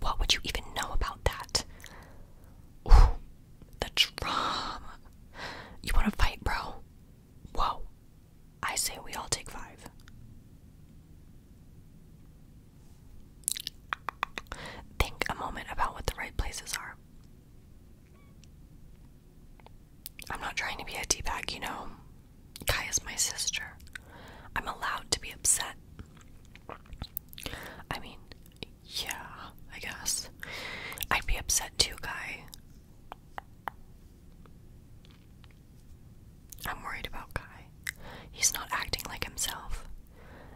What would you even know about that? The drum. You want to fight, bro? Whoa. I say we all take five. Think a moment about what the right places are. I'm not trying to be a teabag, you know. Kai is my sister. I'm allowed to be upset. I mean, yeah, I guess. I'd be upset too, Guy. I'm worried about Guy. He's not acting like himself.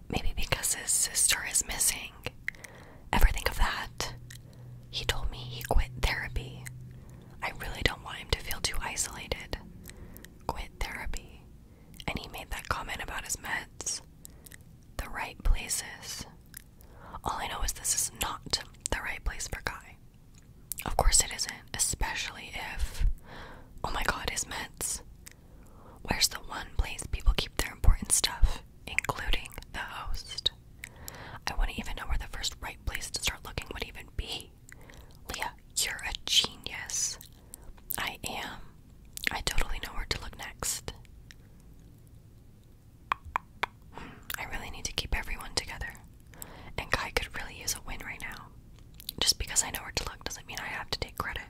Maybe because his sister is missing. Ever think of that? He told me he quit therapy. I really don't want him to feel too isolated. Quit therapy. And he made that comment about his meds the right places. All I know is this is not the right place for Guy. Of course it isn't, especially if. Oh my god, his meds. Where's the one place people keep their important stuff, including the host? I wouldn't even know where the first right place to start looking would even be. Leah, you're a genius. I am. I totally know where to look next. I really need to keep everyone together. And Kai could really use a win right now. Just because I know where to look doesn't mean I have to take credit.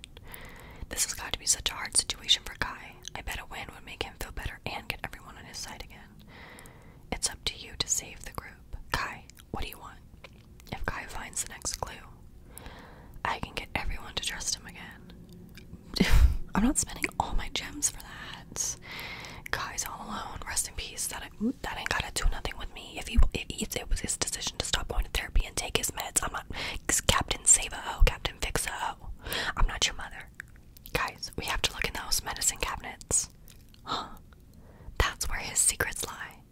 This has got to be such a hard situation for Kai. I bet a win would make him feel better and get everyone on his side again. It's up to you to save the group. Kai, what do you want? If Kai finds the next clue, I can get everyone to trust him again. [SIGHS] I'm not spending all my gems for that. Guys, all alone. Rest in peace. That ain't, that ain't gotta do nothing with me. If he, if it was his decision to stop going to therapy and take his meds, I'm not Captain Save oh, Captain Fix i O. I'm not your mother, guys. We have to look in those medicine cabinets. Huh? That's where his secrets lie.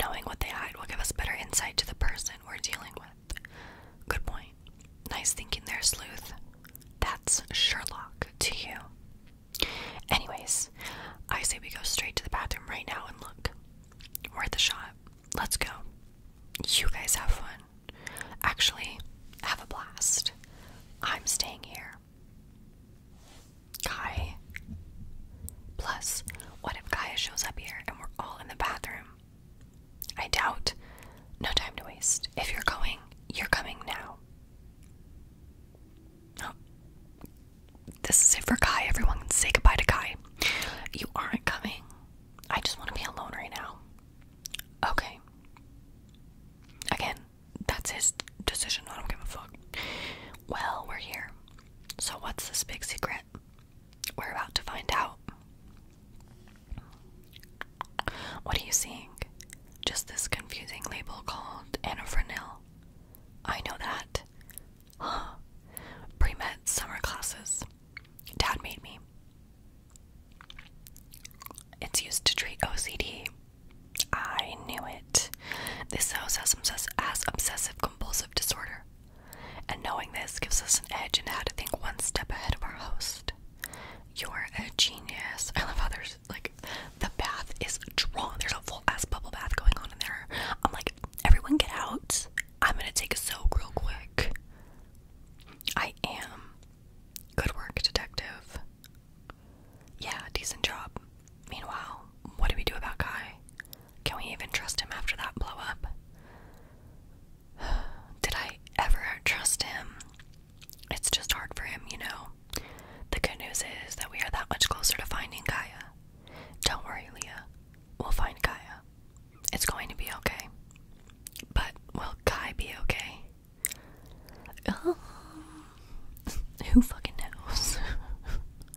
Knowing what they hide will give us better insight to the person we're dealing with. Good point. Nice thinking there, Sleuth. That's Sherlock to you. Anyways, I say we go straight to the bathroom right now and look. We're at the shot. Let's go. You guys have fun. Actually, have a blast. I'm staying here. Kai. Plus, what if Gaia shows up here and we're all in the bathroom? I doubt. No time to waste. If you're going, you're coming now. Oh. This is it for Kai. Everyone can say goodbye to Kai. You aren't coming. I just want to be alone right now. Okay. Again, that's his decision. I don't give a fuck. Well, we're here. So, what's this big secret? We're about to find out. What are you seeing? Just this confusing label called Anafranil. I know that. Huh. Pre summer classes. Dad made me. It's used to treat OCD. I knew it. This house has, obsess as obsessive compulsive disorder. And knowing this gives us an edge in how to think one step ahead of our host. You're a genius. I love how there's like the bath is drawn. There's a full ass bubble bath going on in there. I'm like, everyone get out. I'm gonna take a soak real quick. I am. Good work, detective. Yeah, decent job. Meanwhile, what do we do about Guy? Can we even trust him after that blow up? [SIGHS] Did I ever trust him? it's just hard for him, you know. The good news is that we are that much closer to finding Gaia. Don't worry, Leah. We'll find Gaia. It's going to be okay. But will Kai be okay? Um, who fucking knows?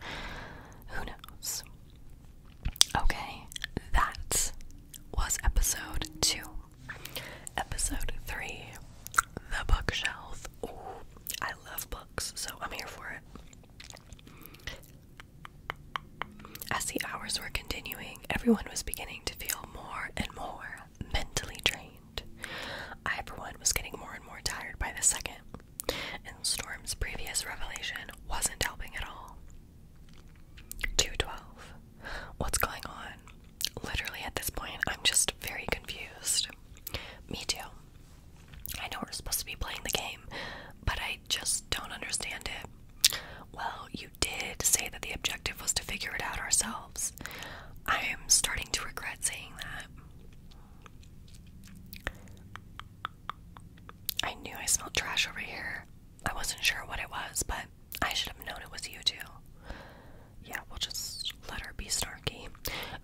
[LAUGHS] who knows? Okay, that was episode two. Episode 3 The Bookshelf. I love books, so I'm here for it. As the hours were continuing, everyone was beginning to feel more and more mentally drained. I, for one, was getting more and more tired by the second, and Storm's previous revelation wasn't helping at all. 212 what's going on. Literally, at this point, I'm just very confused. Me too. I know we're supposed to be playing the game, but I just don't understand it. Well, you did say that the objective was to figure it out ourselves. I am starting to regret saying that. I knew I smelled trash over here. I wasn't sure what it was, but I should have known it was you too. Yeah, we'll just let her be snarky.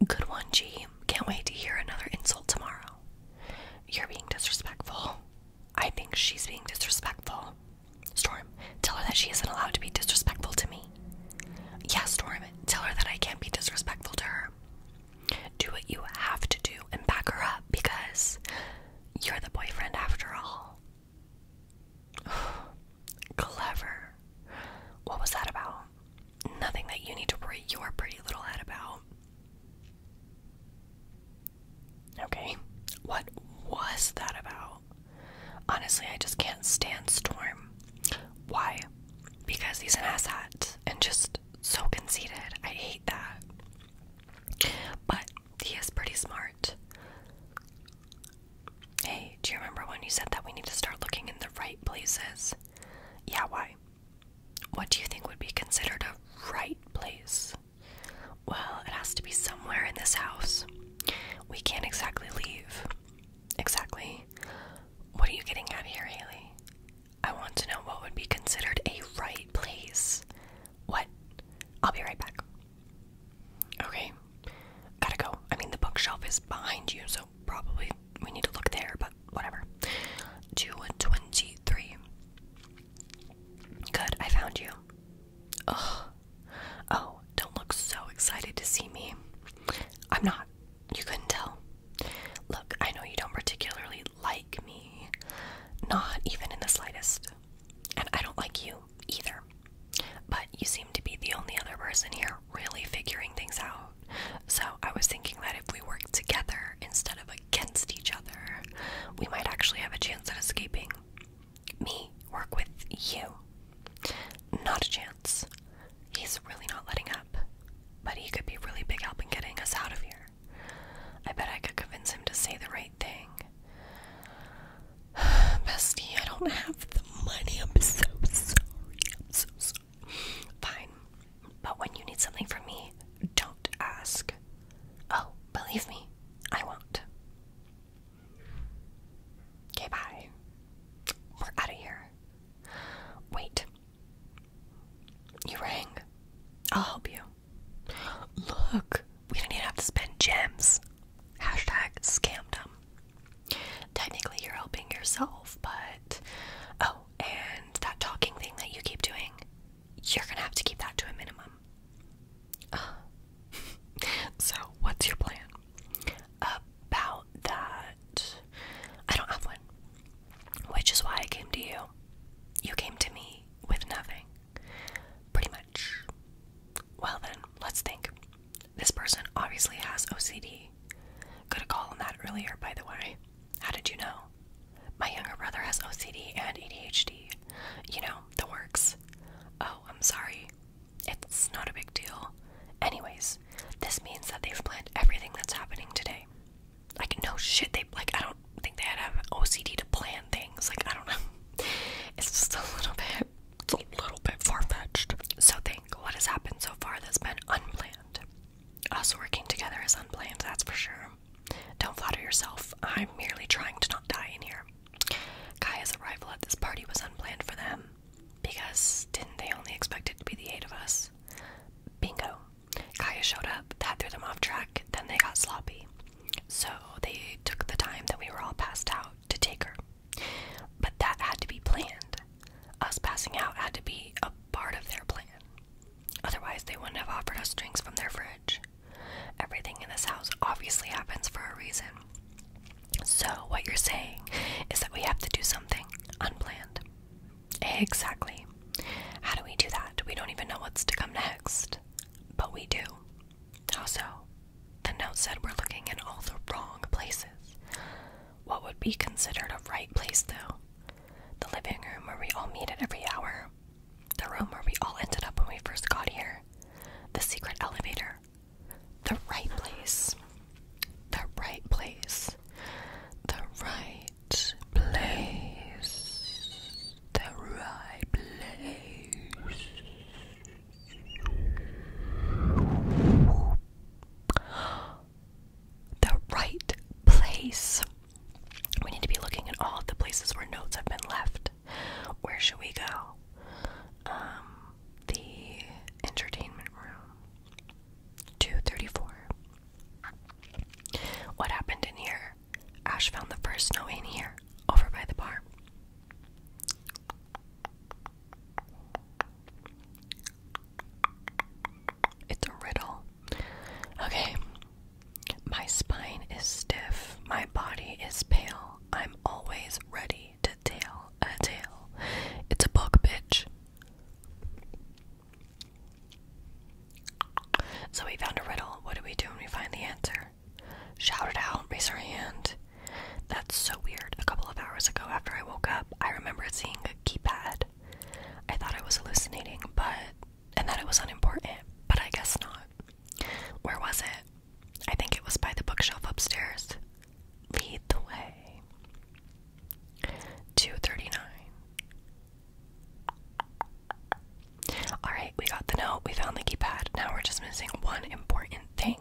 Good one, G. Can't wait to hear another insult tomorrow. You're being disrespectful. I think she's being disrespectful. Storm, tell her that she isn't allowed to be disrespectful to me. Yes, Storm, tell her that I can't be disrespectful to her. Do what you have to do and back her up because you're the boyfriend after all. [SIGHS] Clever. What was that about? Nothing that you need to worry your pretty little head about. Okay, what was that about? Honestly, I just can't stand Storm. Why? Because he's an asshat and just so conceited. I hate that. But he is pretty smart. Hey, do you remember when you said that we need to start looking in the right places? Yeah, why? What do you think would be considered a right place? Well, it has to be somewhere in this house. We can't exactly leave. Exactly. What are you getting at here, Haley? I want to know what would be considered a right place. What? I'll be right back. Okay, gotta go. I mean, the bookshelf is behind you, so probably we need to look there, but whatever. 223. Good, I found you. Ugh. Oh, don't look so excited to see me. I'm not. You couldn't tell. Look, I know you don't particularly like me. Not even in the slightest. And I don't like you either. But you seem to be the only other person here really figuring things out. So I was thinking that if we work together instead of against each other, we might actually have a chance at escaping. Me work with you. Not a chance. He's really not letting up, but he could be really big help in getting us out of here. I bet I could convince him to say the right thing. [SIGHS] Bestie, I don't have the money. I'm so sorry. I'm so sorry. Fine. But when you need something from me, don't ask. Oh, believe me, I won't. Okay, bye. We're out of here. Wait. You rang. I'll help you. Look, we do not even have to spend gems. Hashtag scammed them. Technically, you're helping yourself, but. Oh, and that talking thing that you keep doing, you're gonna have to keep that to a minimum. [LAUGHS] so, what's your plan? About that, I don't have one. Which is why I came to you. You came to me with nothing. Pretty much. Well, then, let's think. This person obviously has OCD. Could have called on that earlier, by the way. How did you know? My younger brother has OCD and ADHD. You know, the works. Oh, I'm sorry. It's not a big deal. Anyways, this means that they've planned everything that's happening today. Like, no shit, they, like, I don't think they had have OCD to plan things. Like, I don't know. [LAUGHS] It's just a little bit it's a little bit far So, think what has happened so far that's been unplanned. Us working together is unplanned, that's for sure. Don't flatter yourself. I'm merely trying to not die in here. Kaya's arrival at this party was unplanned for them. Because didn't they only expect it to be the eight of us? Bingo. Kaya showed up, that threw them off track, then they got sloppy. So they took the time that we were all passed out to take her. But that had to be planned. Us passing out had to be a part of their plan. Otherwise, they wouldn't have offered us drinks from their fridge. Everything in this house obviously happens for a reason. So, what you're saying is that we have to do something unplanned. Exactly. How do we do that? We don't even know what's to come next. But we do. How so? The note said we're looking in all the wrong places. What would be considered a right place, though? The living room where we all meet at every hour. The room where we all ended up when we first got here. The secret elevator. The right place. The right place. The right place. The right place. The right place. We need to be looking at all of the places where notes have been left. Where should we go? Um, the entertainment room. 234. What happened in here? Ash found the first note in here, over by the bar. It's a riddle. Okay. My spine is stiff. My body is pale. I'm always ready to tell a tale. It's a book, bitch. So we found a riddle. What do we do when we find the answer? Shout it out, raise your hand. That's so weird. A couple of hours ago, after I woke up, I remember seeing a keypad. I thought I was hallucinating, but and that it was unimportant, but I guess not. Where was it? I think it was by the bookshelf upstairs. Lead the way. 239. Alright, we got the note, we found the keypad. Now we're just missing one important thing.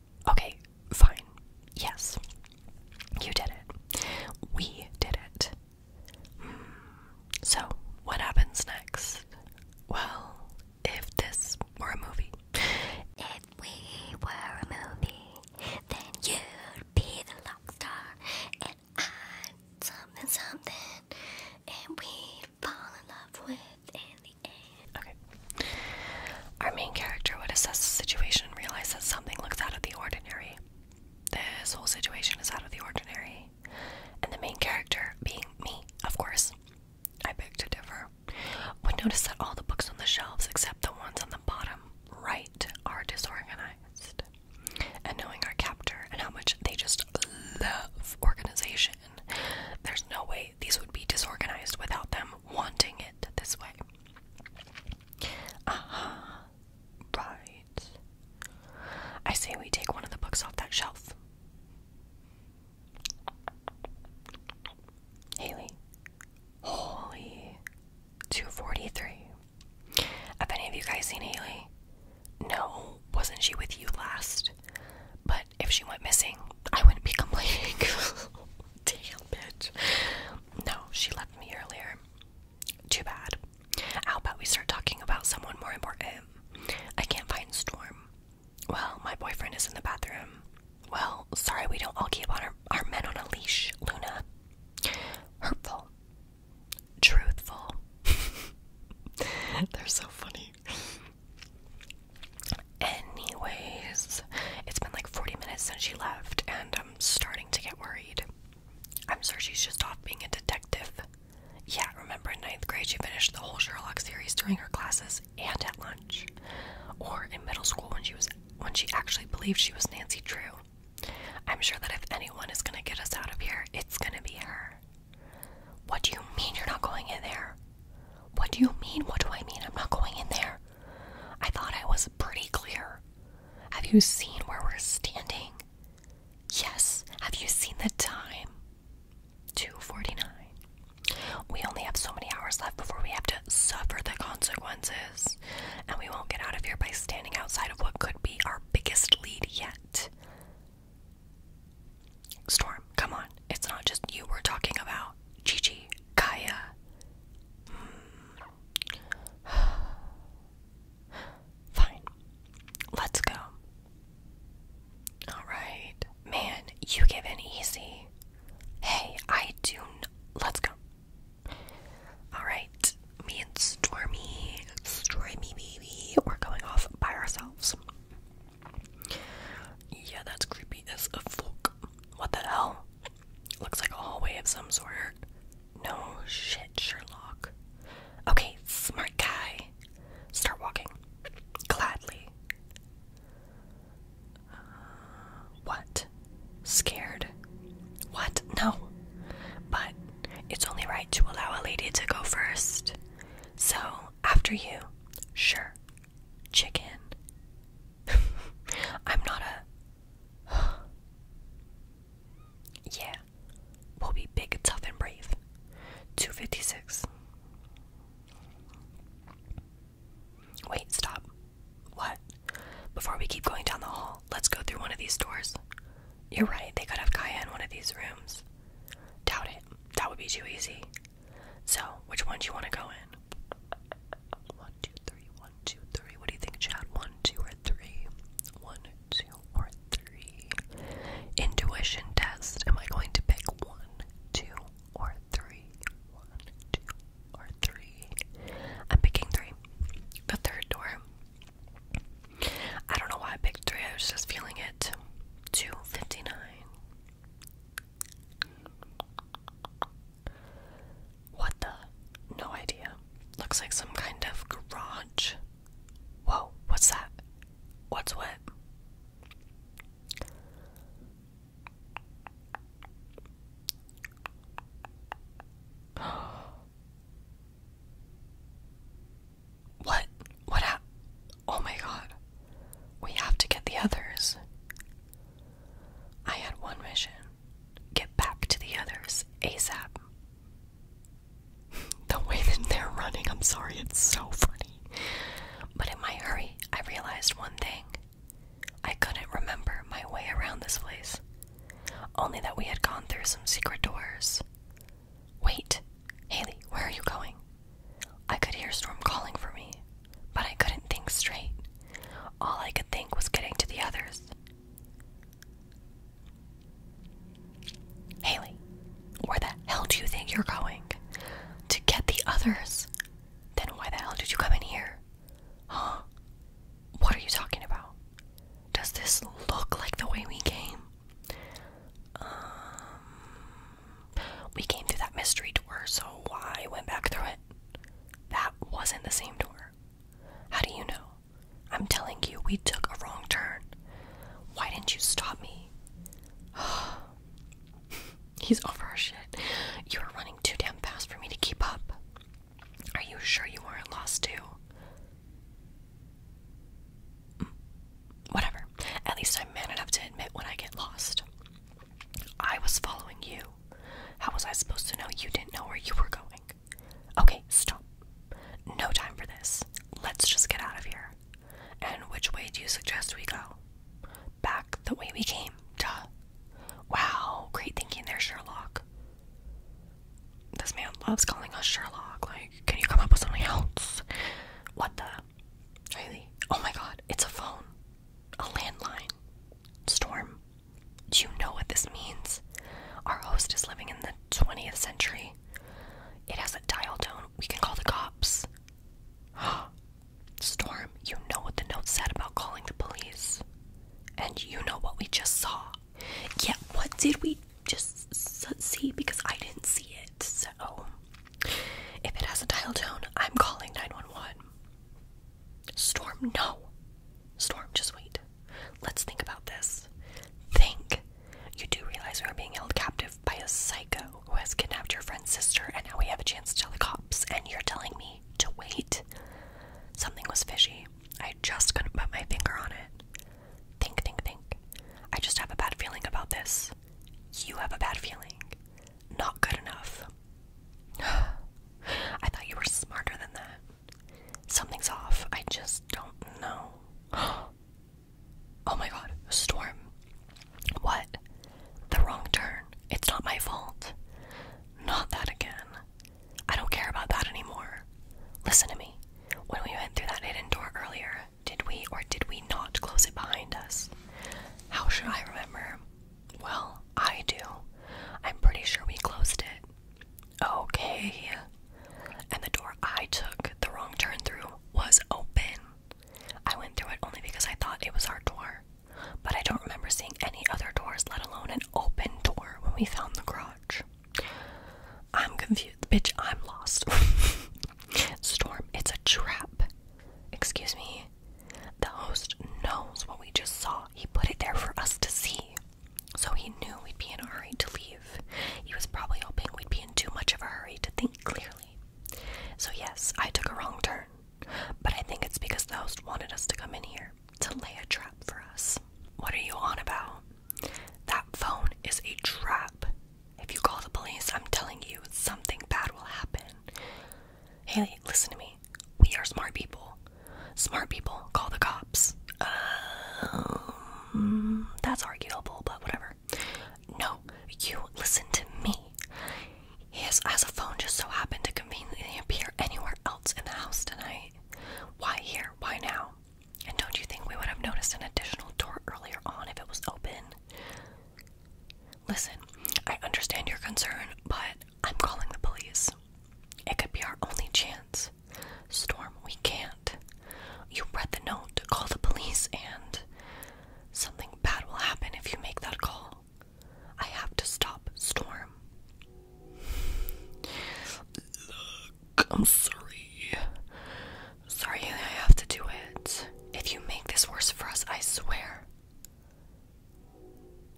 Okay, fine. Yes. You did it. We did it. Hmm. So, what happens next? Well, if this were a movie. If we were a movie, then you'd be the love star, and I'd something something, and we'd fall in love with in the end. Our main character would assess the situation and realize that something looks out of the ordinary. This whole situation is out of the ordinary. And the main character, being me, of course, I beg to differ, would notice that all the books on the shelves except the ones on the bottom right are disorganized. And knowing our captor and how much they just love organization, there's no way these would be disorganized without them wanting it this way. Uh -huh. Right. I say we take one of the books off that shelf. Haley. Holy. 243. Have any of you guys seen Haley? No, wasn't she with you last? But if she went missing, I wouldn't be complaining. [LAUGHS] Damn, bitch. No, she left me earlier. Too bad. How about we start talking about someone more important? I can't find Storm. Well, my boyfriend is in the bathroom. Well, sorry we don't all keep our, our men on a leash, Luna. Hurtful. Truthful. [LAUGHS] They're so funny. Anyways, it's been like 40 minutes since she left, and I'm starting to get worried. I'm sure she's just off being a detective. Yeah, remember in ninth grade she finished the whole Sherlock series during her classes and at lunch. Or in middle school when she was when she actually believed she was Nancy Drew. I'm sure that if anyone is gonna get us out of here, it's gonna be her. What do you mean you're not going in there? What do you mean? What do I mean? I'm not going in there. I thought I was pretty clear. Have you seen where we're standing? Yes. Have you seen the time? 2:49. We only have so many hours left before we have to suffer the consequences, and we won't get out of here by standing outside of what could be our biggest lead yet. Storm, come on. It's not just you we're talking about. Gigi, Kaya. Hmm. [SIGHS] Fine. Let's go. Alright. Man, you give in easy. Hey, I do. Let's go. Alright. Me and Stormy. Stormy, baby. We're going off by ourselves. Yeah, that's creepy as a fuck. What the hell? Looks like a hallway of some sort. No shit, Sherlock. Okay, smart guy. Start walking. Gladly. Uh, what? Scared? What? No. But it's only right to allow a lady to go first. So, after you. Sure. Chicken. [LAUGHS] I'm not a. [SIGHS] yeah, we'll be big, tough, and brave. 256. Wait, stop. What? Before we keep going down the hall, let's go through one of these doors. You're right, they could have Kaya one of these rooms. Doubt it. That would be too easy. So, which one do you want to go in? One, two, three. What do you think, Chad? One, two, or three? One, two, or three. Intuition test. Am I going to pick one, two, or three? One, two, or three. I'm picking three. The third door. I don't know why I picked three. I was just feeling it. Two fifty nine. What the? No idea. Looks like some kind of garage. Whoa, what's that? What's what? [GASPS] what? What happened? Oh my god. We have to get the others. I had one mission get back to the others ASAP. [LAUGHS] the way that they're running, I'm sorry, it's so funny. But in my hurry, I realized one thing I couldn't remember my way around this place, only that we had gone through some secret doors. Wait, Haley, where are you going? I could hear Storm calling for me, but I couldn't think straight. All I could think was getting to the others. Haley, where the hell do you think you're going? To get the others? Then why the hell did you come in here? Huh? What are you talking about? Does this look like the way we came? Um, we came through that mystery door, so I went back through it. That wasn't the same door. How do you know? I'm telling you, we took a wrong turn. Why didn't you stop me? [SIGHS] He's over our shit. You are running too damn fast for me to keep up. Are you sure you weren't lost too? Mm, whatever. At least I'm man enough to admit when I get lost. I was following you. How was I supposed to know you didn't know where you were going? Okay, stop. No time for this. Let's just get out of here. And which way do you suggest we go? Back the way we came. Duh. Wow, great thinking there, Sherlock. This man loves calling us Sherlock. Like, can you come up with something else? What the? Really? Oh my god, it's a phone. A landline. Storm, do you know what this means? Our host is living in the 20th century. It has a dial tone. We can call the cops. [GASPS] Storm, you know what the note said about calling the police. And you know what we just saw. Yeah, what did we just see? Because I didn't see it. So, if it has a dial tone, I'm calling 911. Storm, no. Storm, just wait. Let's think about this. Think. You do realize we are being held captive by a psycho who has kidnapped your friend's sister, and now we have a chance to tell the cops, and you're telling me to wait? Something was fishy. I just couldn't put my finger on it. Think, think, think. I just have a bad feeling about this. You have a bad feeling. Not good enough. [SIGHS] I thought you were smarter than that. Something's off. I just don't know. [GASPS] oh my god, a storm. What? The wrong turn. It's not my fault. Not that again. I don't care about that anymore. Listen to me. When we went through that hidden door earlier, did we or did we not close it behind us? How should I remember? Well, I do. I'm pretty sure we closed it. Okay. And the door I took the wrong turn through was open. I went through it only because I thought it was our door. But I don't remember seeing any other doors, let alone an open door, when we found the garage. I'm confused. Bitch, I'm lost. [LAUGHS] Storm, it's a trap. Excuse me. The host knows what we just saw. He put it there for us to see. So he knew we'd be in a hurry to leave. He was probably hoping we'd be in too much of a hurry to think clearly. So, yes, I took a wrong turn, but I think it's because the host wanted us to come in here to lay a trap for us. What are you on about? That phone is a trap. If you call the police, I'm telling you, something bad will happen. Haley, listen to me. We are smart people. Smart people call the cops. Um, that's arguable, but whatever. No, you listen to me. His as a phone just so happened to conveniently appear anywhere else in the house tonight. Why here? Why now? And don't you think we would have noticed an additional door earlier on if it was open? Listen, I understand your concern, but I'm calling the police. It could be our only chance. Storm, we can't. You read the note, call the police, and something bad will happen if you make that call. I have to stop Storm. I'm sorry. Sorry, I have to do it. If you make this worse for us, I swear.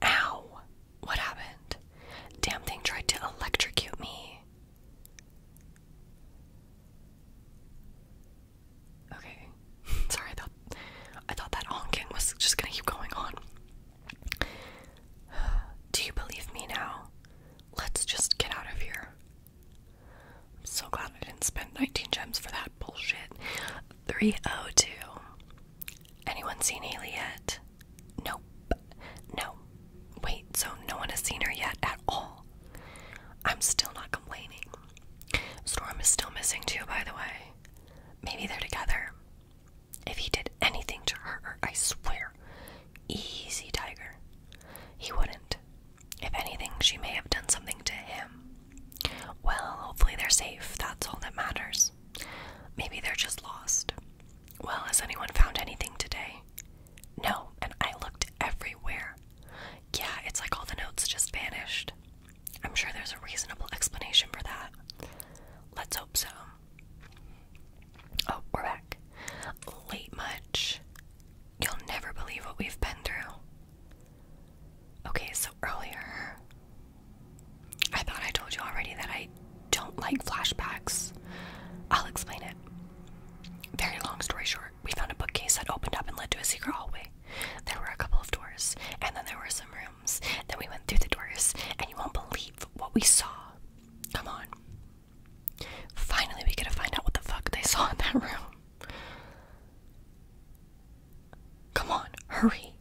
Ow! What happened? Damn thing tried to electrocute me. Okay. [LAUGHS] Sorry, I thought I thought that honking was just gonna keep going on. [SIGHS] Do you believe me now? Let's just get out of here. I'm so glad I didn't spend 19 gems for that bullshit. 302. Anyone seen Haley yet? Nope. No. Wait, so no one has seen her yet at all. I'm still not complaining. Storm is still missing too, by the way. Maybe they're together. If he did anything to her, I swear. Easy, Tiger. He wouldn't. If anything, she may have done something to him. Well, hopefully they're safe. That's all that matters. Maybe they're just lost. Well, has anyone found anything today? No, and I looked everywhere. Yeah, it's like all the notes just vanished. I'm sure there's a reasonable explanation for that. Let's hope so. Oh, we're back. Late much. You'll never believe what we've been through. Okay, so earlier. I thought I told you already that I don't like flashbacks. I'll explain it. Very long story short, we found a bookcase that opened up and led to a secret hallway. There were a couple of doors, and then there were some rooms. Then we went through the doors, and you won't believe what we saw. Come on. Finally, we get to find out what the fuck they saw in that room. Come on, hurry.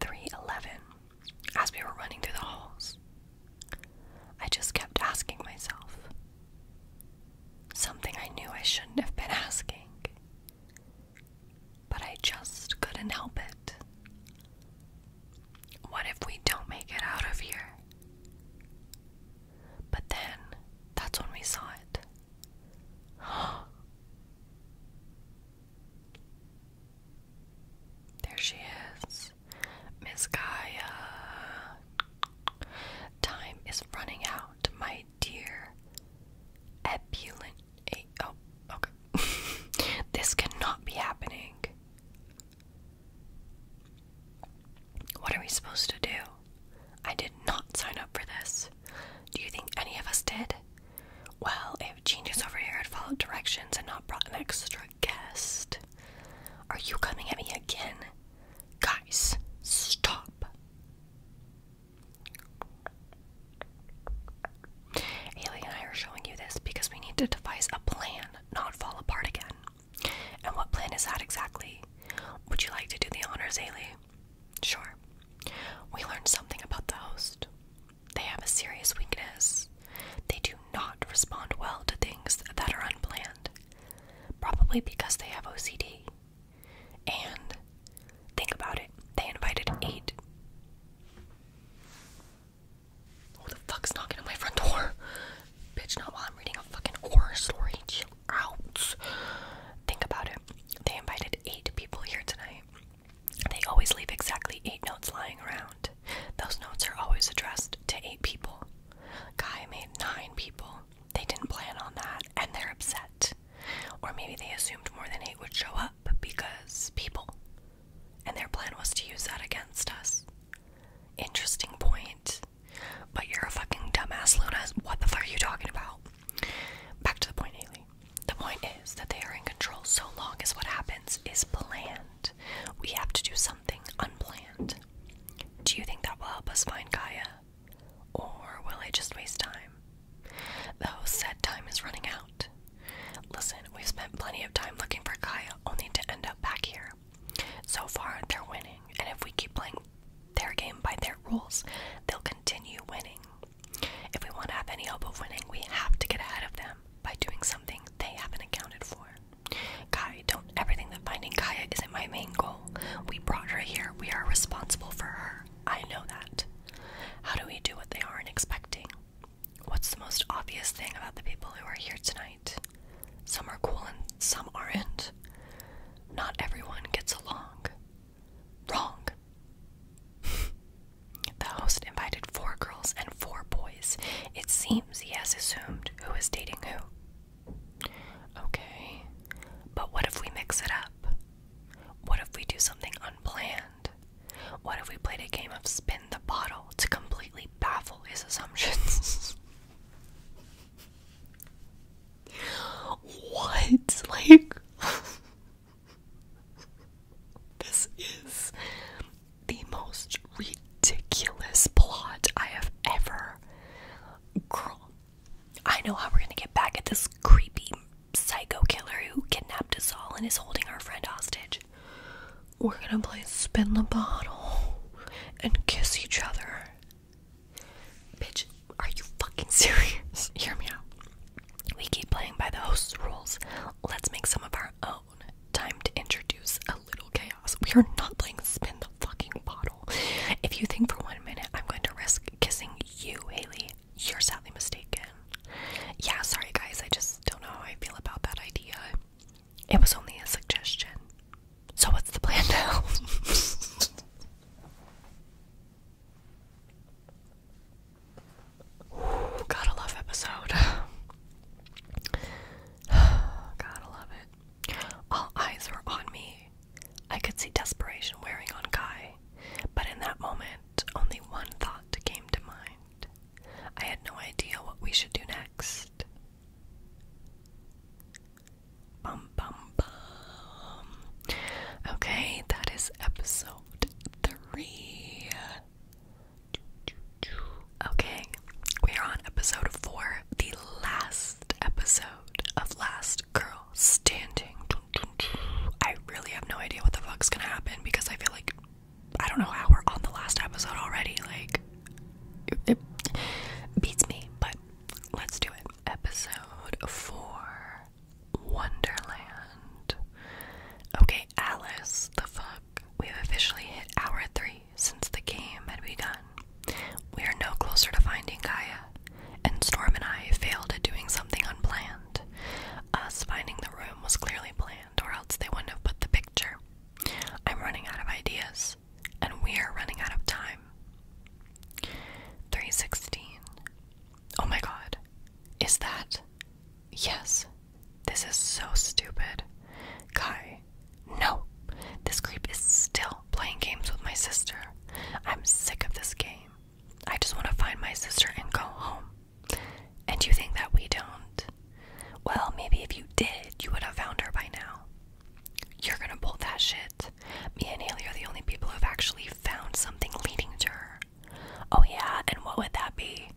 311 as we were running through the halls, I just kept asking myself something I knew I shouldn't have been asking. But I just couldn't help it. What if we don't make it out of here? But then, that's when we saw it. There she is. Miss Gaia. Time is running out, my dear. Ebullient. Eh, oh, okay. [LAUGHS] this cannot be happening. What are we supposed to do? I did not sign up for this. Do you think any of us did? Well, if Genius over here had followed directions and not brought an extra guest. Are you coming at me again? Guys, stop. Haley and I are showing you this because we need to devise a plan, not fall apart again. And what plan is that exactly? Would you like to do the honors, Haley? Sure. We learned something about the host. They have a serious weakness. They do not respond well to things that are unplanned, probably because they have OCD. And think about it, they invited eight. Who the fuck's knocking on my front door? Bitch, not while I'm reading a fucking horror story. Chill out. Think about it. They invited eight people here tonight. They always leave exactly eight notes lying around. Those notes are always addressed to eight people. Guy made nine people. They didn't plan on that and they're upset. Or maybe they assumed more than eight would show up because people. And their plan was to use that against us. Interesting point. But you're a fucking dumbass, Luna. What the fuck are you talking about? Back to the point, Haley the point is that they are in control so long as what happens is planned. We have to do something unplanned. Do you think that will help us find Gaia? Or will it just waste time? Though said time is running out. Listen, we've spent plenty of time looking for Gaia only to end up back here. So far, they're winning, and if we keep playing their game by their rules, they'll continue winning. If we want to have any hope of winning, we have to get ahead of them by doing something they haven't accounted for. Kai, don't everything that finding Kaya isn't my main goal. We brought her here. We are responsible for her. I know that. How do we do what they aren't expecting? What's the most obvious thing about the people who are here tonight? Some are cool and some aren't. Not everyone gets along. Wrong. [LAUGHS] The host invited four girls and four boys. It seems he has assumed who is dating who. Okay, but what if we mix it up? What if we do something unplanned? What if we played a game of spin the bottle to completely baffle his assumptions? [LAUGHS] what? Like, [LAUGHS] this is the most ridiculous plot I have ever. Girl, I know how we're gonna get back at this creepy psycho killer who kidnapped us all and is holding our friend hostage. We're gonna play spin the bottle and kiss each other. Bitch, are you fucking serious? [LAUGHS] Hear me out. We keep playing by the host's rules. Let's make some of our own. Time to introduce a little chaos. We are not playing spin the fucking bottle. If you think for one minute I'm going to risk kissing you, Haley, you're sadly mistaken. Yeah, sorry guys, I just don't know how I feel about that idea. It was only a suggestion. So, what's the plan now? [LAUGHS] [SIGHS] gotta love episode. [SIGHS] gotta love it. All eyes were on me. I could see desperation wearing on Kai, but in that moment, only one thought came to mind. I had no idea what we should do next. Bum bum bum. Okay, that is episode three. Okay, we are on episode four, the last episode of Last Girl Standing. I really have no idea what the fuck's gonna happen because I feel like I don't know how we're on the last episode already. Like, it beats me, but let's do it. Episode four Wonderland. Okay, Alice, the fuck We've officially hit hour three since the game had begun. We are no closer to finding Gaia, and Storm and I failed at doing something unplanned. Us finding the room was clearly planned, or else they wouldn't have put the picture. I'm running out of ideas, and we're running out of time. 316. Oh my god. Is that? Yes, this is so stupid. Kai, no. This creep is still playing games with my sister. I'm sick of this game. I just want to find my sister and go home. And you think that we don't? Well, maybe if you did, you would have found her by now. You're gonna bolt that shit. Me and Haley are the only people who've actually found something leading to her. Oh, yeah, and what would that be?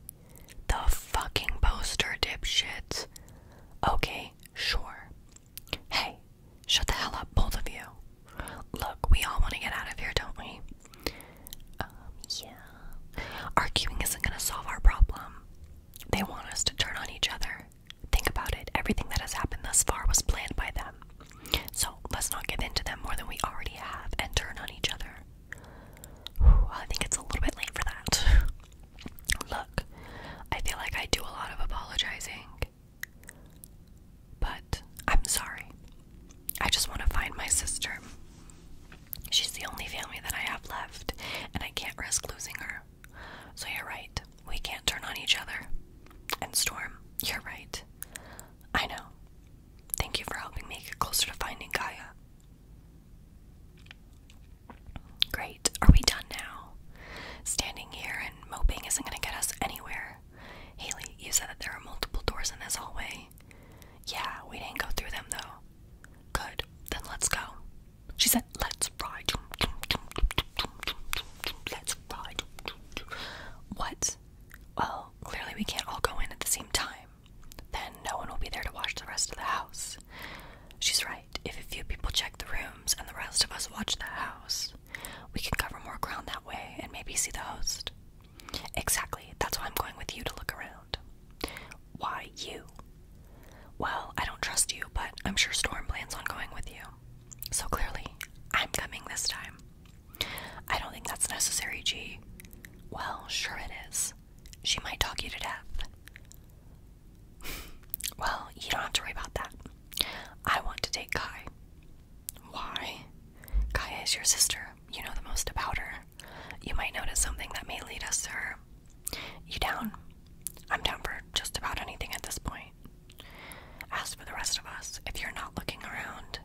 The fucking poster, dipshit. Okay, sure. Hey, shut the hell up, both of you. Look, we all want to get out of here, don't we? Um, yeah. Arguing isn't gonna solve our problem. They want us to turn on each other. Think about it. Everything that has happened thus far was planned by them. So let's not give in to them more than we already have and turn on each other. I think it's a little bit late for that. [LAUGHS] Look, I feel like I do a lot of apologizing, but I'm sorry. I just want to find my sister. She's the only family that I have left, and I can't risk losing her. So you're right. We can't turn on each other. And Storm, you're right. I know. Thank you for helping me get closer to finding Gaia. Great. Are we done now? Standing here and moping isn't going to get us anywhere. Haley, you said that there are multiple doors in this hallway. Yeah, we didn't go through them though. Good. Then let's go. She said, let's ride. Let's ride. What? Well, clearly we can't all go in at the same time. Then no one will be there to watch the rest of the house. She's right. If a few people check the rooms and the rest of us watch the house, we can cover more ground that way and maybe see the host. Exactly. That's why I'm going with you to look around. Why you? Well, I don't trust you, but I'm sure Storm plans on going with you. So clearly, I'm coming this time. I don't think that's necessary, G. Well, sure it is. She might talk you to death. [LAUGHS] well, you don't have to worry about that. I want to take Kai. Why? Kai is your sister. You know the most about her. You might notice something that may lead us to You down? I'm down for just about anything at this point. As for the rest of us, if you're not looking around,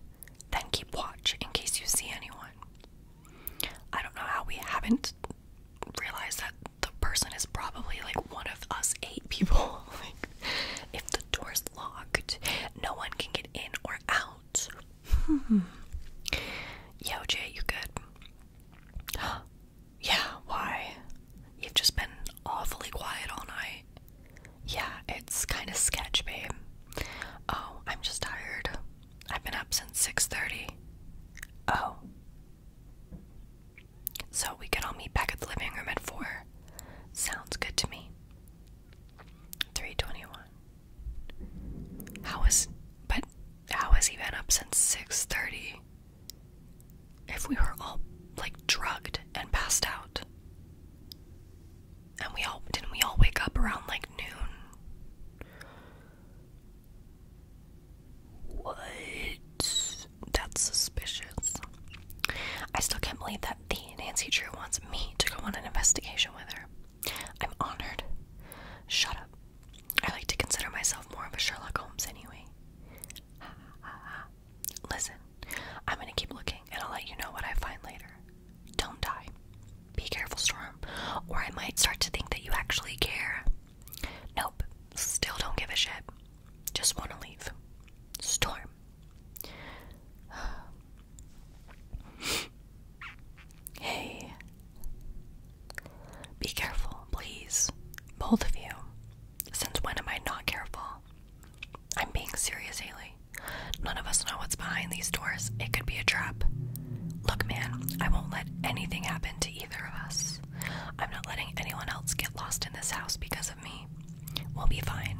then keep watch in case you see anyone. I don't know how we haven't realized that the person is probably like one of us eight people. [LAUGHS] if the door's locked, no one can get in or out. Hmm. Yo, Jay, you good? [GASPS] yeah, why? You've just been awfully quiet all night. Yeah, it's kind of sketch, babe. Oh, I'm just tired. I've been up since 6:30. Oh. So we can all meet back at the living room at 4. Sounds good to me. 321. How is but how has he been up since 6:30? If we were all like drugged and passed out. And we all didn't we all wake up around like noon? What? That's suspicious. I still can't believe that the Nancy Drew wants me to go on an investigation with her. I'm honored. Shut up. I like to consider myself more of a Sherlock Holmes anyway. [LAUGHS] Listen, I'm gonna keep looking and I'll let you know what I find later. Don't die. Be careful, Storm. Or I might start to think that you actually care. Nope, still don't give a shit. Just want to leave. Storm. [SIGHS] hey. Be careful, please. Both of you. Since when am I not careful? I'm being serious, Haley. None of us know what's behind these doors. It could be a trap. Look, man, I won't let anything happen to either of us. I'm not letting anyone else get lost in this house because of me. We'll be fine.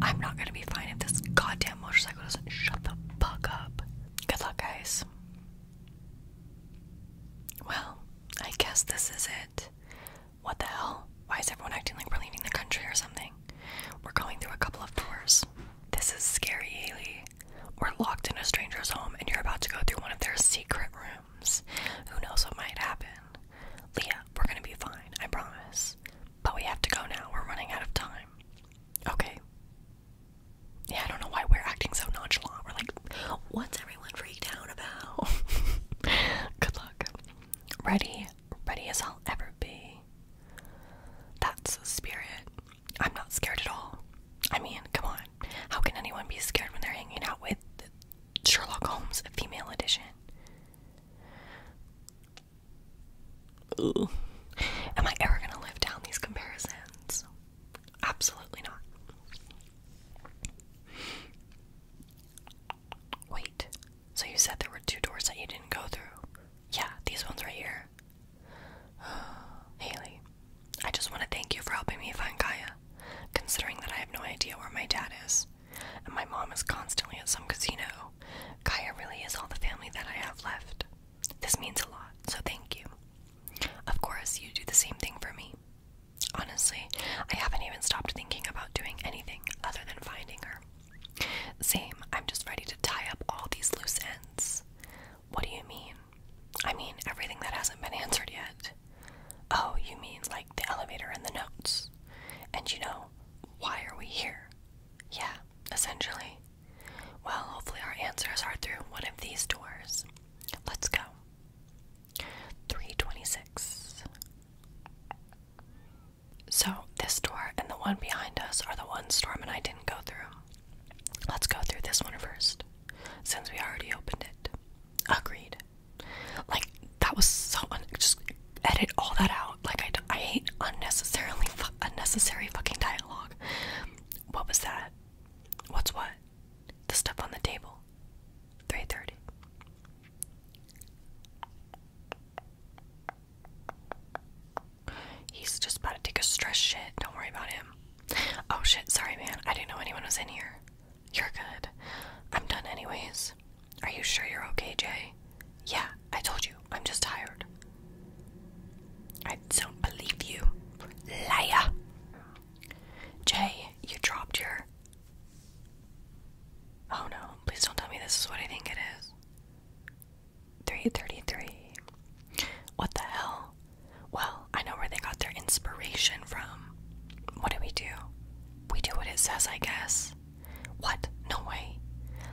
I'm not gonna be fine if this goddamn motorcycle doesn't shut the fuck up. Good luck, guys. Well, I guess this is it. What the hell? Why is everyone acting like we're leaving the country or something? We're going through a couple of doors. This is scary, Haley. We're locked in a stranger's home and you're about to go through one of their secret rooms. Who knows what might happen? Leah, we're gonna be fine, I promise. But we have to go now, we're running out of time. Okay. Yeah, I don't know why we're acting so nonchalant. We're like, what's everyone freaked out about? [LAUGHS] Good luck. Ready, ready as I'll ever be. That's the spirit. I'm not scared at all. I mean, come on. How can anyone be scared when they're hanging out with Sherlock Holmes, female edition? Ooh. Am I ever gonna live down these comparisons? Absolutely not. Wait, so you said there were two doors that you didn't go through? Yeah, these ones right here. [SIGHS] Haley, I just want to thank you for helping me find Kaya. considering that I have no idea where my dad is, and my mom is constantly at some casino. Kaya really is all the family that I have left. This means a lot, so thank you. Of course, you do the same thing for me. Honestly, I haven't even stopped thinking about doing anything other than finding her. Same, I'm just ready to tie up all these loose ends. What do you mean? I mean, everything that hasn't been answered yet. Oh, you mean like the elevator and the notes. And you know, why are we here? Yeah, essentially. Well, hopefully, our answers are through one of these doors. Let's go. 326. So, this door and the one behind us are the ones Storm and I didn't go through. Let's go through this one first, since we already opened it. Agreed. Like that was so un just edit all that out. Like I hate unnecessarily unnecessary fucking dialogue. What was that? What's what? The stuff on the table. Three thirty. He's just about to take a stress shit. Don't worry about him. Oh shit, sorry man. I didn't know anyone was in here. You're good. I'm done anyways. Are you sure you're okay, Jay? Yeah, I told you. I'm just tired. I don't believe you. Liar. Jay, you dropped your. Oh no, please don't tell me this is what I think it is. 333. What the hell? Well, I know where they got their inspiration from. What do we do? We do what it says, I guess. What? No way.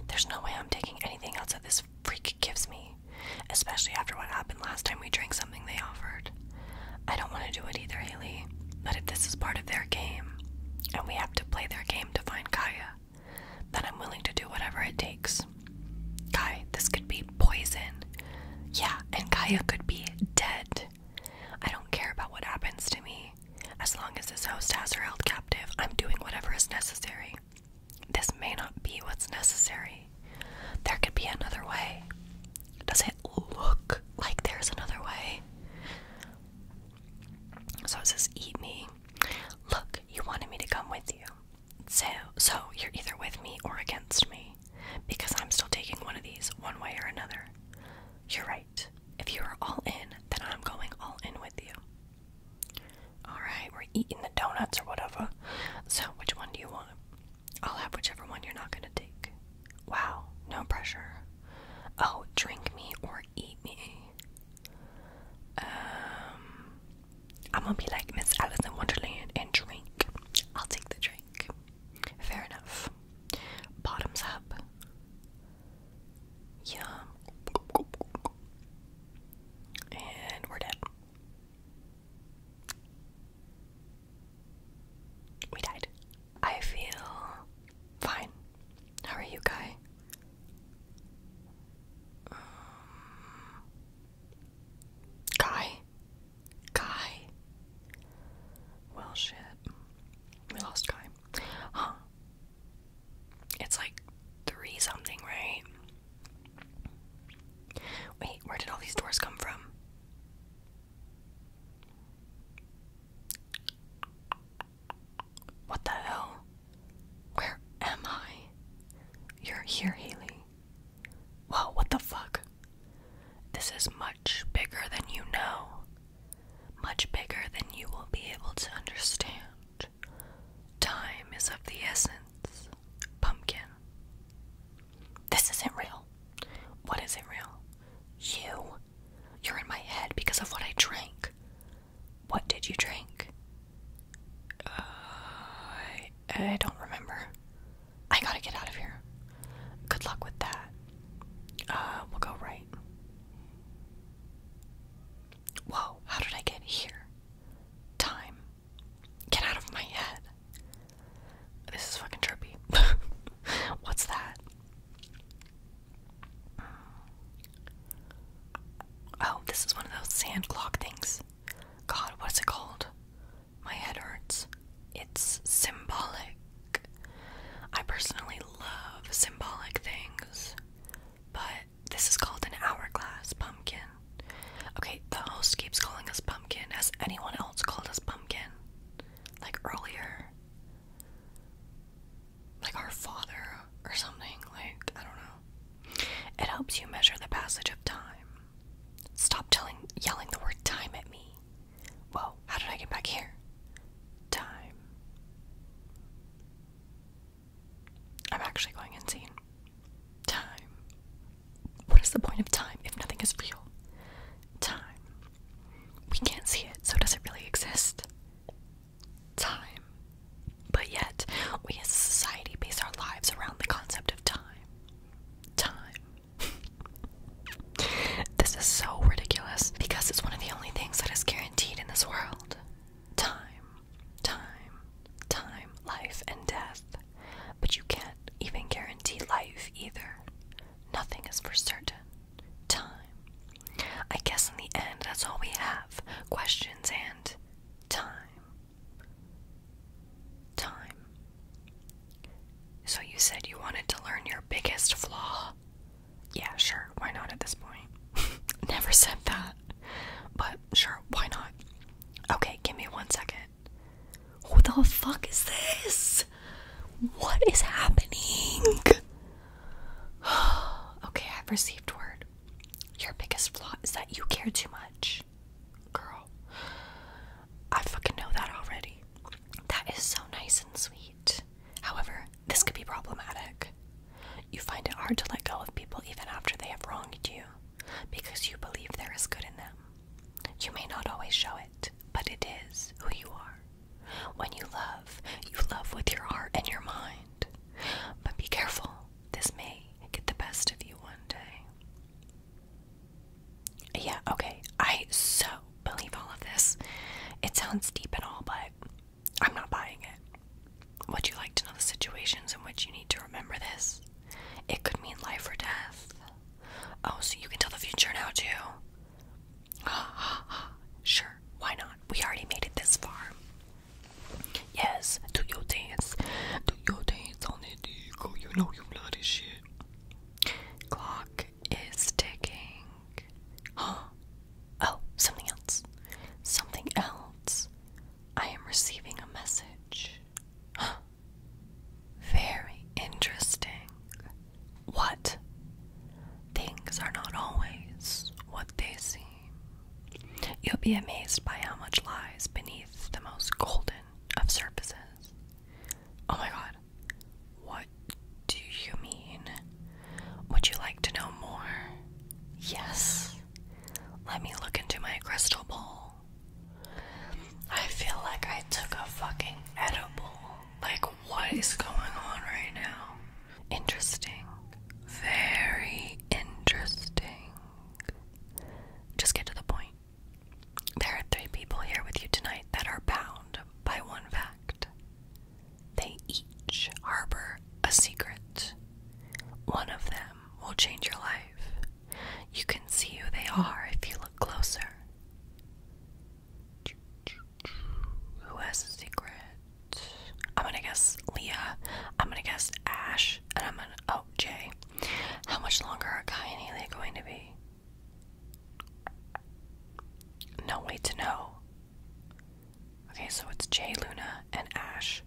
There's no way I'm taking anything else that this freak gives me, especially after what happened last time we drank something they offered. I don't want to do it either, Haley. But if this is part of their game, and we have to play their game to find Kaya, then I'm willing to do whatever it takes. Kai, this could be poison. Yeah, and Kaya could be dead. I don't care about what happens to me. As long as this host has her held captive, I'm doing whatever is necessary. This may not be what's necessary. There could be another way. Does it look like there's another way? So it says, Eat me. Look, you wanted me to come with you. So, you're either with me or against me, because I'm still taking one of these one way or another. You're right. If you are all in, then I'm going all in with you. Alright, we're eating the donuts or whatever. So, which one do you want? I'll have whichever one you're not gonna take. Wow, no pressure. Oh, drink me or eat me. Um, I'm gonna be like Miss Alice in Wonderland and drink. I'll take the drink. Fair enough. Bottoms up. Yum. And we're dead. We died. I feel fine. How are you, Guy? Guy? Guy? Well, shit. We lost Guy. Huh. It's like three something, right? Wait, where did all these doors come from? What the hell? Where am I? You're here, Haley. Whoa, what the fuck? This is much bigger than you know. Much bigger than you will be able to understand. Time is of the essence, pumpkin. This isn't real. What isn't real? You. You're in my head because of what I drank. What did you drink? Uh, I, I don't remember. I gotta get out of here. Good luck with that. Uh, we'll go right. Whoa, how did I get here? Time. Get out of my head. This is fucking trippy. [LAUGHS] What's that? Oh, this is one of those sand clock things. God, what's it called? My head hurts. It's symbolic. I personally love symbolic things, but this is called an hourglass pumpkin. Okay, the host keeps calling us pumpkin. Has anyone else called us pumpkin? Like earlier? Like our father or something? Like, I don't know. It helps you measure the passage of time. Stop telling, yelling the word time at me. Whoa, how did I get back here? Time. I'm actually going insane. Time. What is the point of time if nothing is real? Time. We can't see it, so does it really exist? Time. But yet, we as a society base our lives around the concept of time time. [LAUGHS] this is so ridiculous because it's one of the only things that is guaranteed in this world time, time, time, life, and death. But you can't even guarantee life either. Nothing is for certain. Time. I guess in the end, that's all we have questions and time. Time. So you said you wanted to learn your biggest flaw? Yeah, sure, why not at this point? [LAUGHS] Never said that. But sure, why not? Okay, give me one second. What the fuck is this? What is happening? [SIGHS] okay, I've received word. Your biggest flaw is that you care too much. Girl. I fucking know that already. That is so nice and sweet. However, this could be problematic. You find it hard to let go of people even after they have wronged you because you believe there is good in them. You may not always show it, but it is who you are. When you love, you love with your heart and your mind. But be careful, this may get the best of you one day. Yeah, okay. I so believe all of this. It sounds deep and all, but I'm not buying it. Would you like to know the situations in which you need to remember this? It could mean life or death. Oh, so you can tell the future now, too? [GASPS] sure, why not? We already made it this far. Yes, do your dance. Do your dance you know you naughty shit. Clock is ticking. Huh? Oh, something else. Something else. I am receiving a message. Huh? Very interesting. What? Things are not always what they seem. You'll be amazed by how much lies beneath the most golden of surfaces. Oh my god. What do you mean? Would you like to know more? Yes. Let me look into my crystal ball. I feel like I took a fucking edible. Like, what is going on right now? Interesting. Very interesting. Just get to the point. There are three people here with you tonight that are bound by one fact. They each harbor a secret. One of them will change your life. You can see who they are if you look closer. Who has a secret? I'm gonna guess Leah. I'm gonna guess Ash. And I'm gonna. Oh, Oh, Jay. How much longer are Kai and Haley going to be? No way to know. Okay, so it's Jay, Luna, and Ash.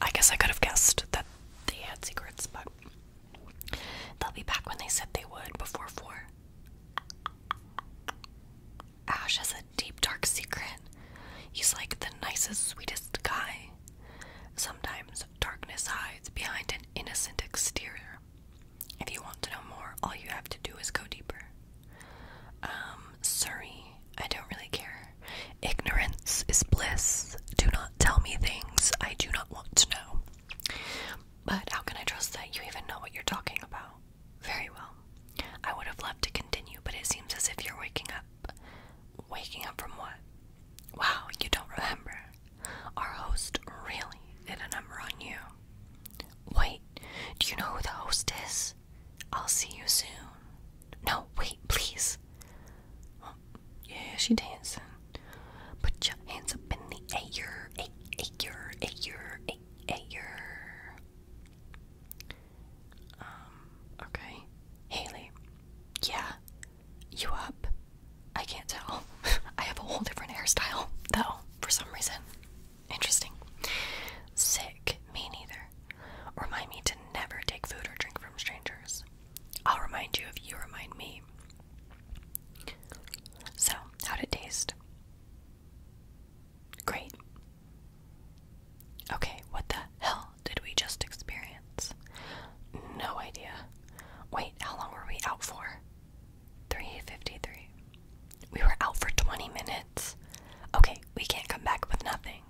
I guess I could have guessed that they had secrets, but they'll be back when they said they would before four. Ash has a deep, dark secret. He's like the nicest, sweetest guy. Sometimes darkness hides behind an innocent exterior. If you want to know more, all you have to do is go deeper. Um, sorry, I don't really care. Ignorance is bliss. Do not tell me things I do not want to know. But how can I trust that you even know what you're talking about? Very well. I would have loved to continue, but it seems as if you're waking up. Waking up from what? Wow, you don't remember. Our host really did a number on you. Wait, do you know who the host is? I'll see you soon. No, wait, please. yeah, she dancing. Put your hands up in the air, air, air, air, air, air. Um, okay. Haley. Yeah, you up? I can't tell. [LAUGHS] I have a whole different hairstyle, though, for some reason. Interesting. Sick, me neither. Remind me to never take food or drink from strangers. I'll remind you if you remind me. So, how'd it taste? Great. Okay, what the hell hell did we just experience? No idea. Wait, how long were we out for? 3.53. We were out for 20 minutes. Okay, we can't come back with nothing.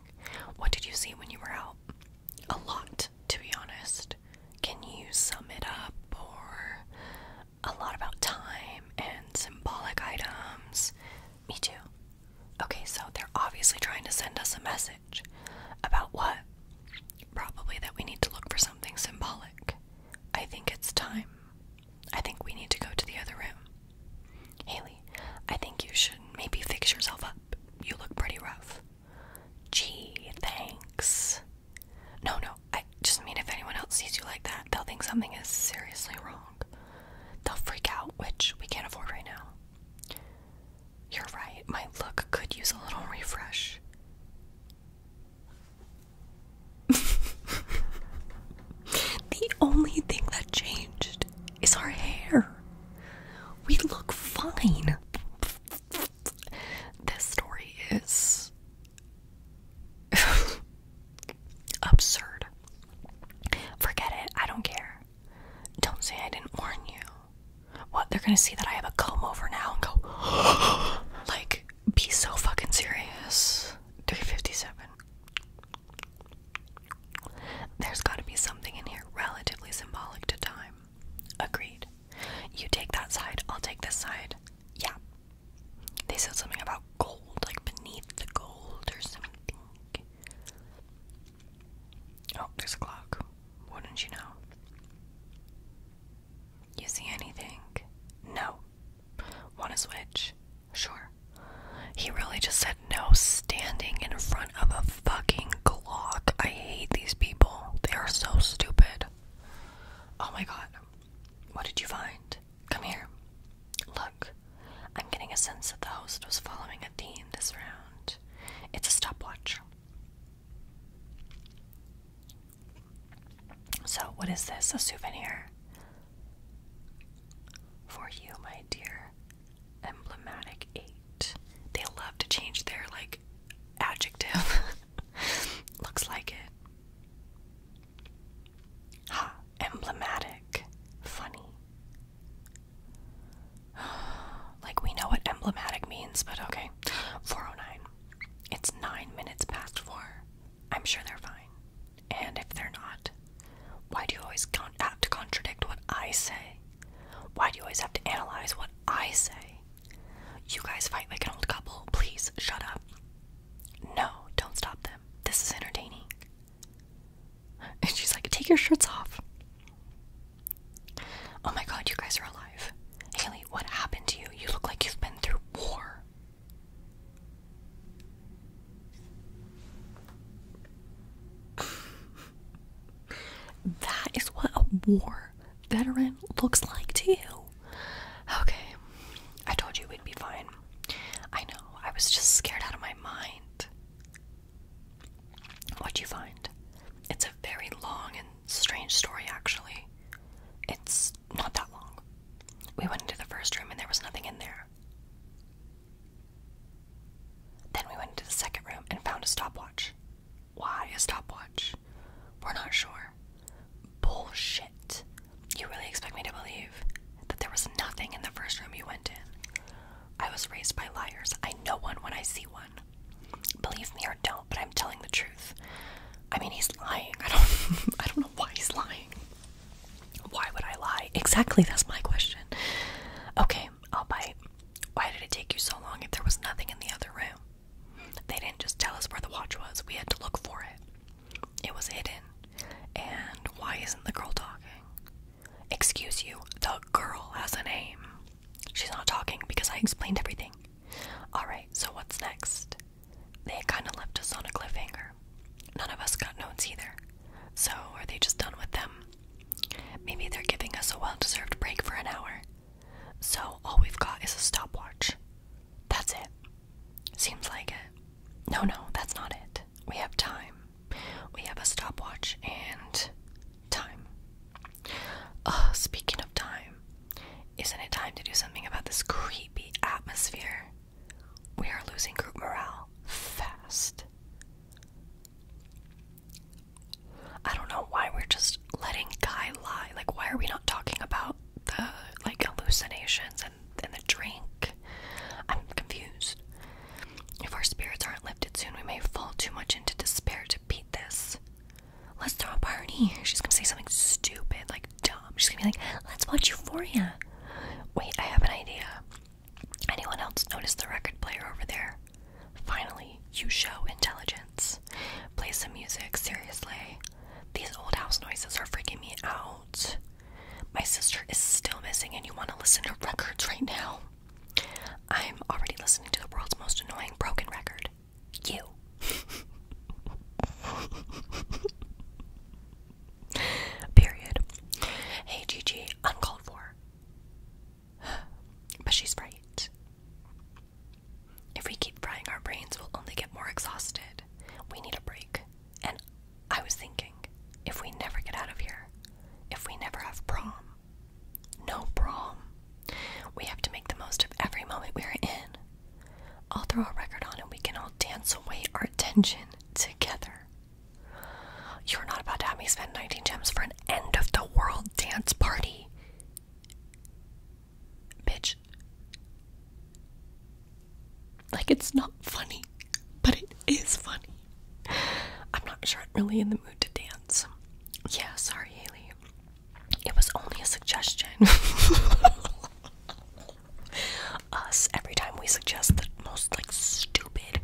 What did you see when you were out? A lot, to be honest. Can you sum it up or a lot about time and symbolic items? Me too. Okay, so they're obviously trying to send us a message. About what? Probably that we need to look for something symbolic. I think it's time. I think we need to go to the other room. Haley, I think you should maybe fix yourself up. You look pretty rough. Gee, thanks. No, no, I just mean if anyone else sees you like that, they'll think something is seriously wrong. They'll freak out, which we can't afford right now. You're right, my look could use a little refresh. [LAUGHS] the only thing that changed is our hair. We look fine. This story is [LAUGHS] absurd. Forget it, I don't care. Don't say I didn't warn you. What? They're gonna see that I have a comb over now and go, [GASPS] like, be so fucking serious. 357. There's gotta be something in here relatively symbolic to time. Agreed. You take that side, I'll take this side. Yeah. They said something about gold, like beneath the gold or something. Oh, there's a clock. Wouldn't you know? You see anything? No. Want to switch? Sure. He really just said no standing in front of a fucking clock. I hate these people. They are so stupid. Oh my god. What did you find? Come here. Look, I'm getting a sense that the host was following a theme this round. It's a stopwatch. So, what is this? A souvenir? For you, my dear. Emblematic 8. They love to change their, like, adjective. [LAUGHS] Looks like it. Ha! Emblematic. Funny. [GASPS] Like, we know what emblematic means, but okay. 409. It's nine minutes past four. I'm sure they're fine. And if they're not, why do you always con have to contradict what I say? Why do you always have to analyze what I say? You guys fight like an old couple. Please shut up. No, don't stop them. This is entertaining. And she's like, take your shirts off. Oh my god, you guys are alive. Haley, what happened to you? You look like you've been through war. that is what a war veteran looks like to you. Okay, I told you we'd be fine. I know, I was just scared out of my mind. What'd you find? It's a very long and strange story, actually. It's not that long. We went into the first room and there was nothing in there. Then we went into the second room and found a stopwatch. Why a stopwatch? We're not sure. Bullshit. You really expect me to believe that there was nothing in the first room you went in? I was raised by liars. I know one when I see one. Believe me or don't, but I'm telling the truth. I mean, he's lying. I don't [LAUGHS] I don't know why he's lying. Why would I lie? Exactly, that's my question. Okay, I'll bite. Why did it take you so long if there was nothing in the other room? They didn't just tell us where the watch was. We had to look for it. It was hidden. And why isn't the girl talking? Excuse you, the girl has a name. She's not talking because I explained everything. Alright, so what's next? They kinda left us on a cliffhanger. None of us got notes either. So are they just done with them? Maybe they're giving us a well deserved break for an hour. So all we've got is a stopwatch. That's it. Seems like it. No, no, that's not it. We have time. We have a stopwatch and time. speaking of time, isn't it time to do something about this creepy atmosphere? We are losing group morale fast. I don't know why we're just letting Guy lie. Like, why are we not talking about the like hallucinations and, and the drink? I'm confused. If our spirits aren't lifted soon, we may fall too much into despair to beat this. Let's throw a party. She's gonna say something stupid, like dumb. She's gonna be like, let's watch Euphoria. Wait, I have an idea. Anyone else notice the record player over there? Finally, you show intelligence. Play some music, seriously. These old house noises are freaking me out. My sister is still missing, and you want to listen to records right now. I'm already listening to the world's most annoying broken record you. Period. Hey, Gigi, uncalled for. [SIGHS] But she's right. If we keep frying our brains, we'll only get more exhausted. We need a break. And I was thinking, if we never get out of here, if we never have prom, no prom. We have to make the most of every moment we're in. I'll throw a record on and we can all dance away our tension together. You're not about to have me spend 19 gems for an end of the world dance party. Bitch. Like, it's not funny, but it is funny. I'm not sure I'm really in the mood to dance. Yeah, sorry, Haley. It was only a suggestion. [LAUGHS] Us, every time we suggest the most like stupid,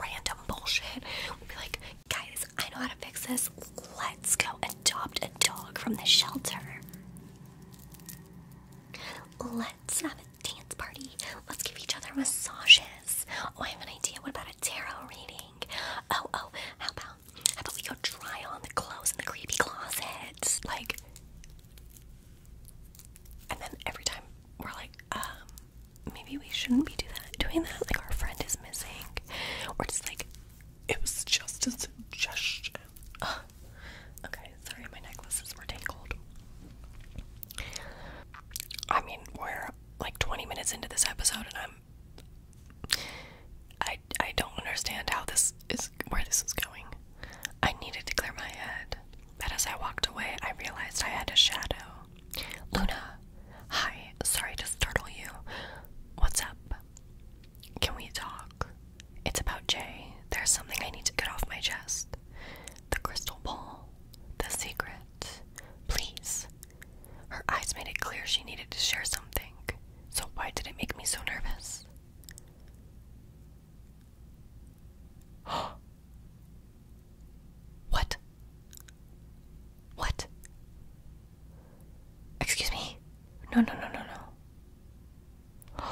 random bullshit, we'll be like, guys, I know how to fix this. Let's go adopt a dog from the shelter. Let's have a dance party. Let's give each other massages. Oh, I have an idea. What about a tarot reading? Oh, oh, how about how about we go try on the clothes in the creepy closets? Like, and then every time we're like, um, maybe we shouldn't be do that, doing that. Like, our friend is missing. Or just like, it was just a suggestion. Okay, sorry, my necklaces were tangled. I mean, we're like 20 minutes into this episode, and I'm I I don't understand how this is where this is going. I needed to clear my head, but as I walked away, I realized I had a shadow. Luna, hi. Sorry to startle you. What's up? Can we talk? It's about Jay. There's something I need to get off my chest. The crystal ball. The secret. Please, her eyes made it clear she needed to share something, so why did it make me so nervous? [GASPS] what? What? Excuse me? No, no, no, no, no.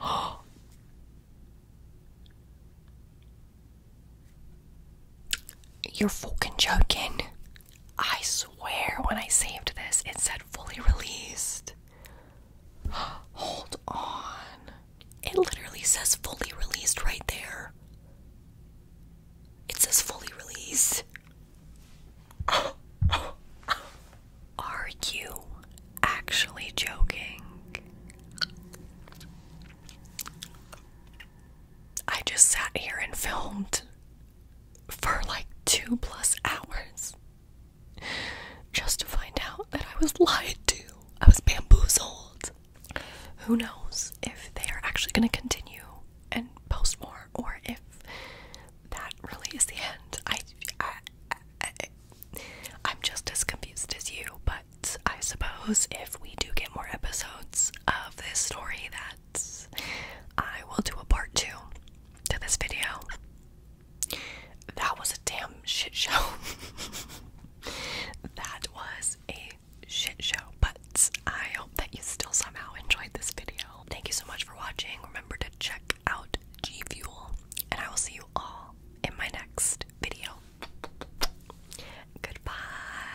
Oh. [GASPS] You're fucking joking. I swear when I saved this, it said fully released. [GASPS] Hold on. It literally says fully released right there. It says fully released. [GASPS] Are you actually joking? I just sat here and filmed for like two plus hours just to find out that I was lied to. I was bamboozled. Who knows if they are actually going to continue and post more or if that really is the end. I, I, I, I'm just as confused as you, but I suppose if we do get more episodes of this story that I will do a part two to this video. That was a damn shit show. [LAUGHS] that was a shit show, but I hope that you still somehow enjoyed this video. Thank you so much for watching. Remember to check out G Fuel, and I will see you all in my next video. Goodbye.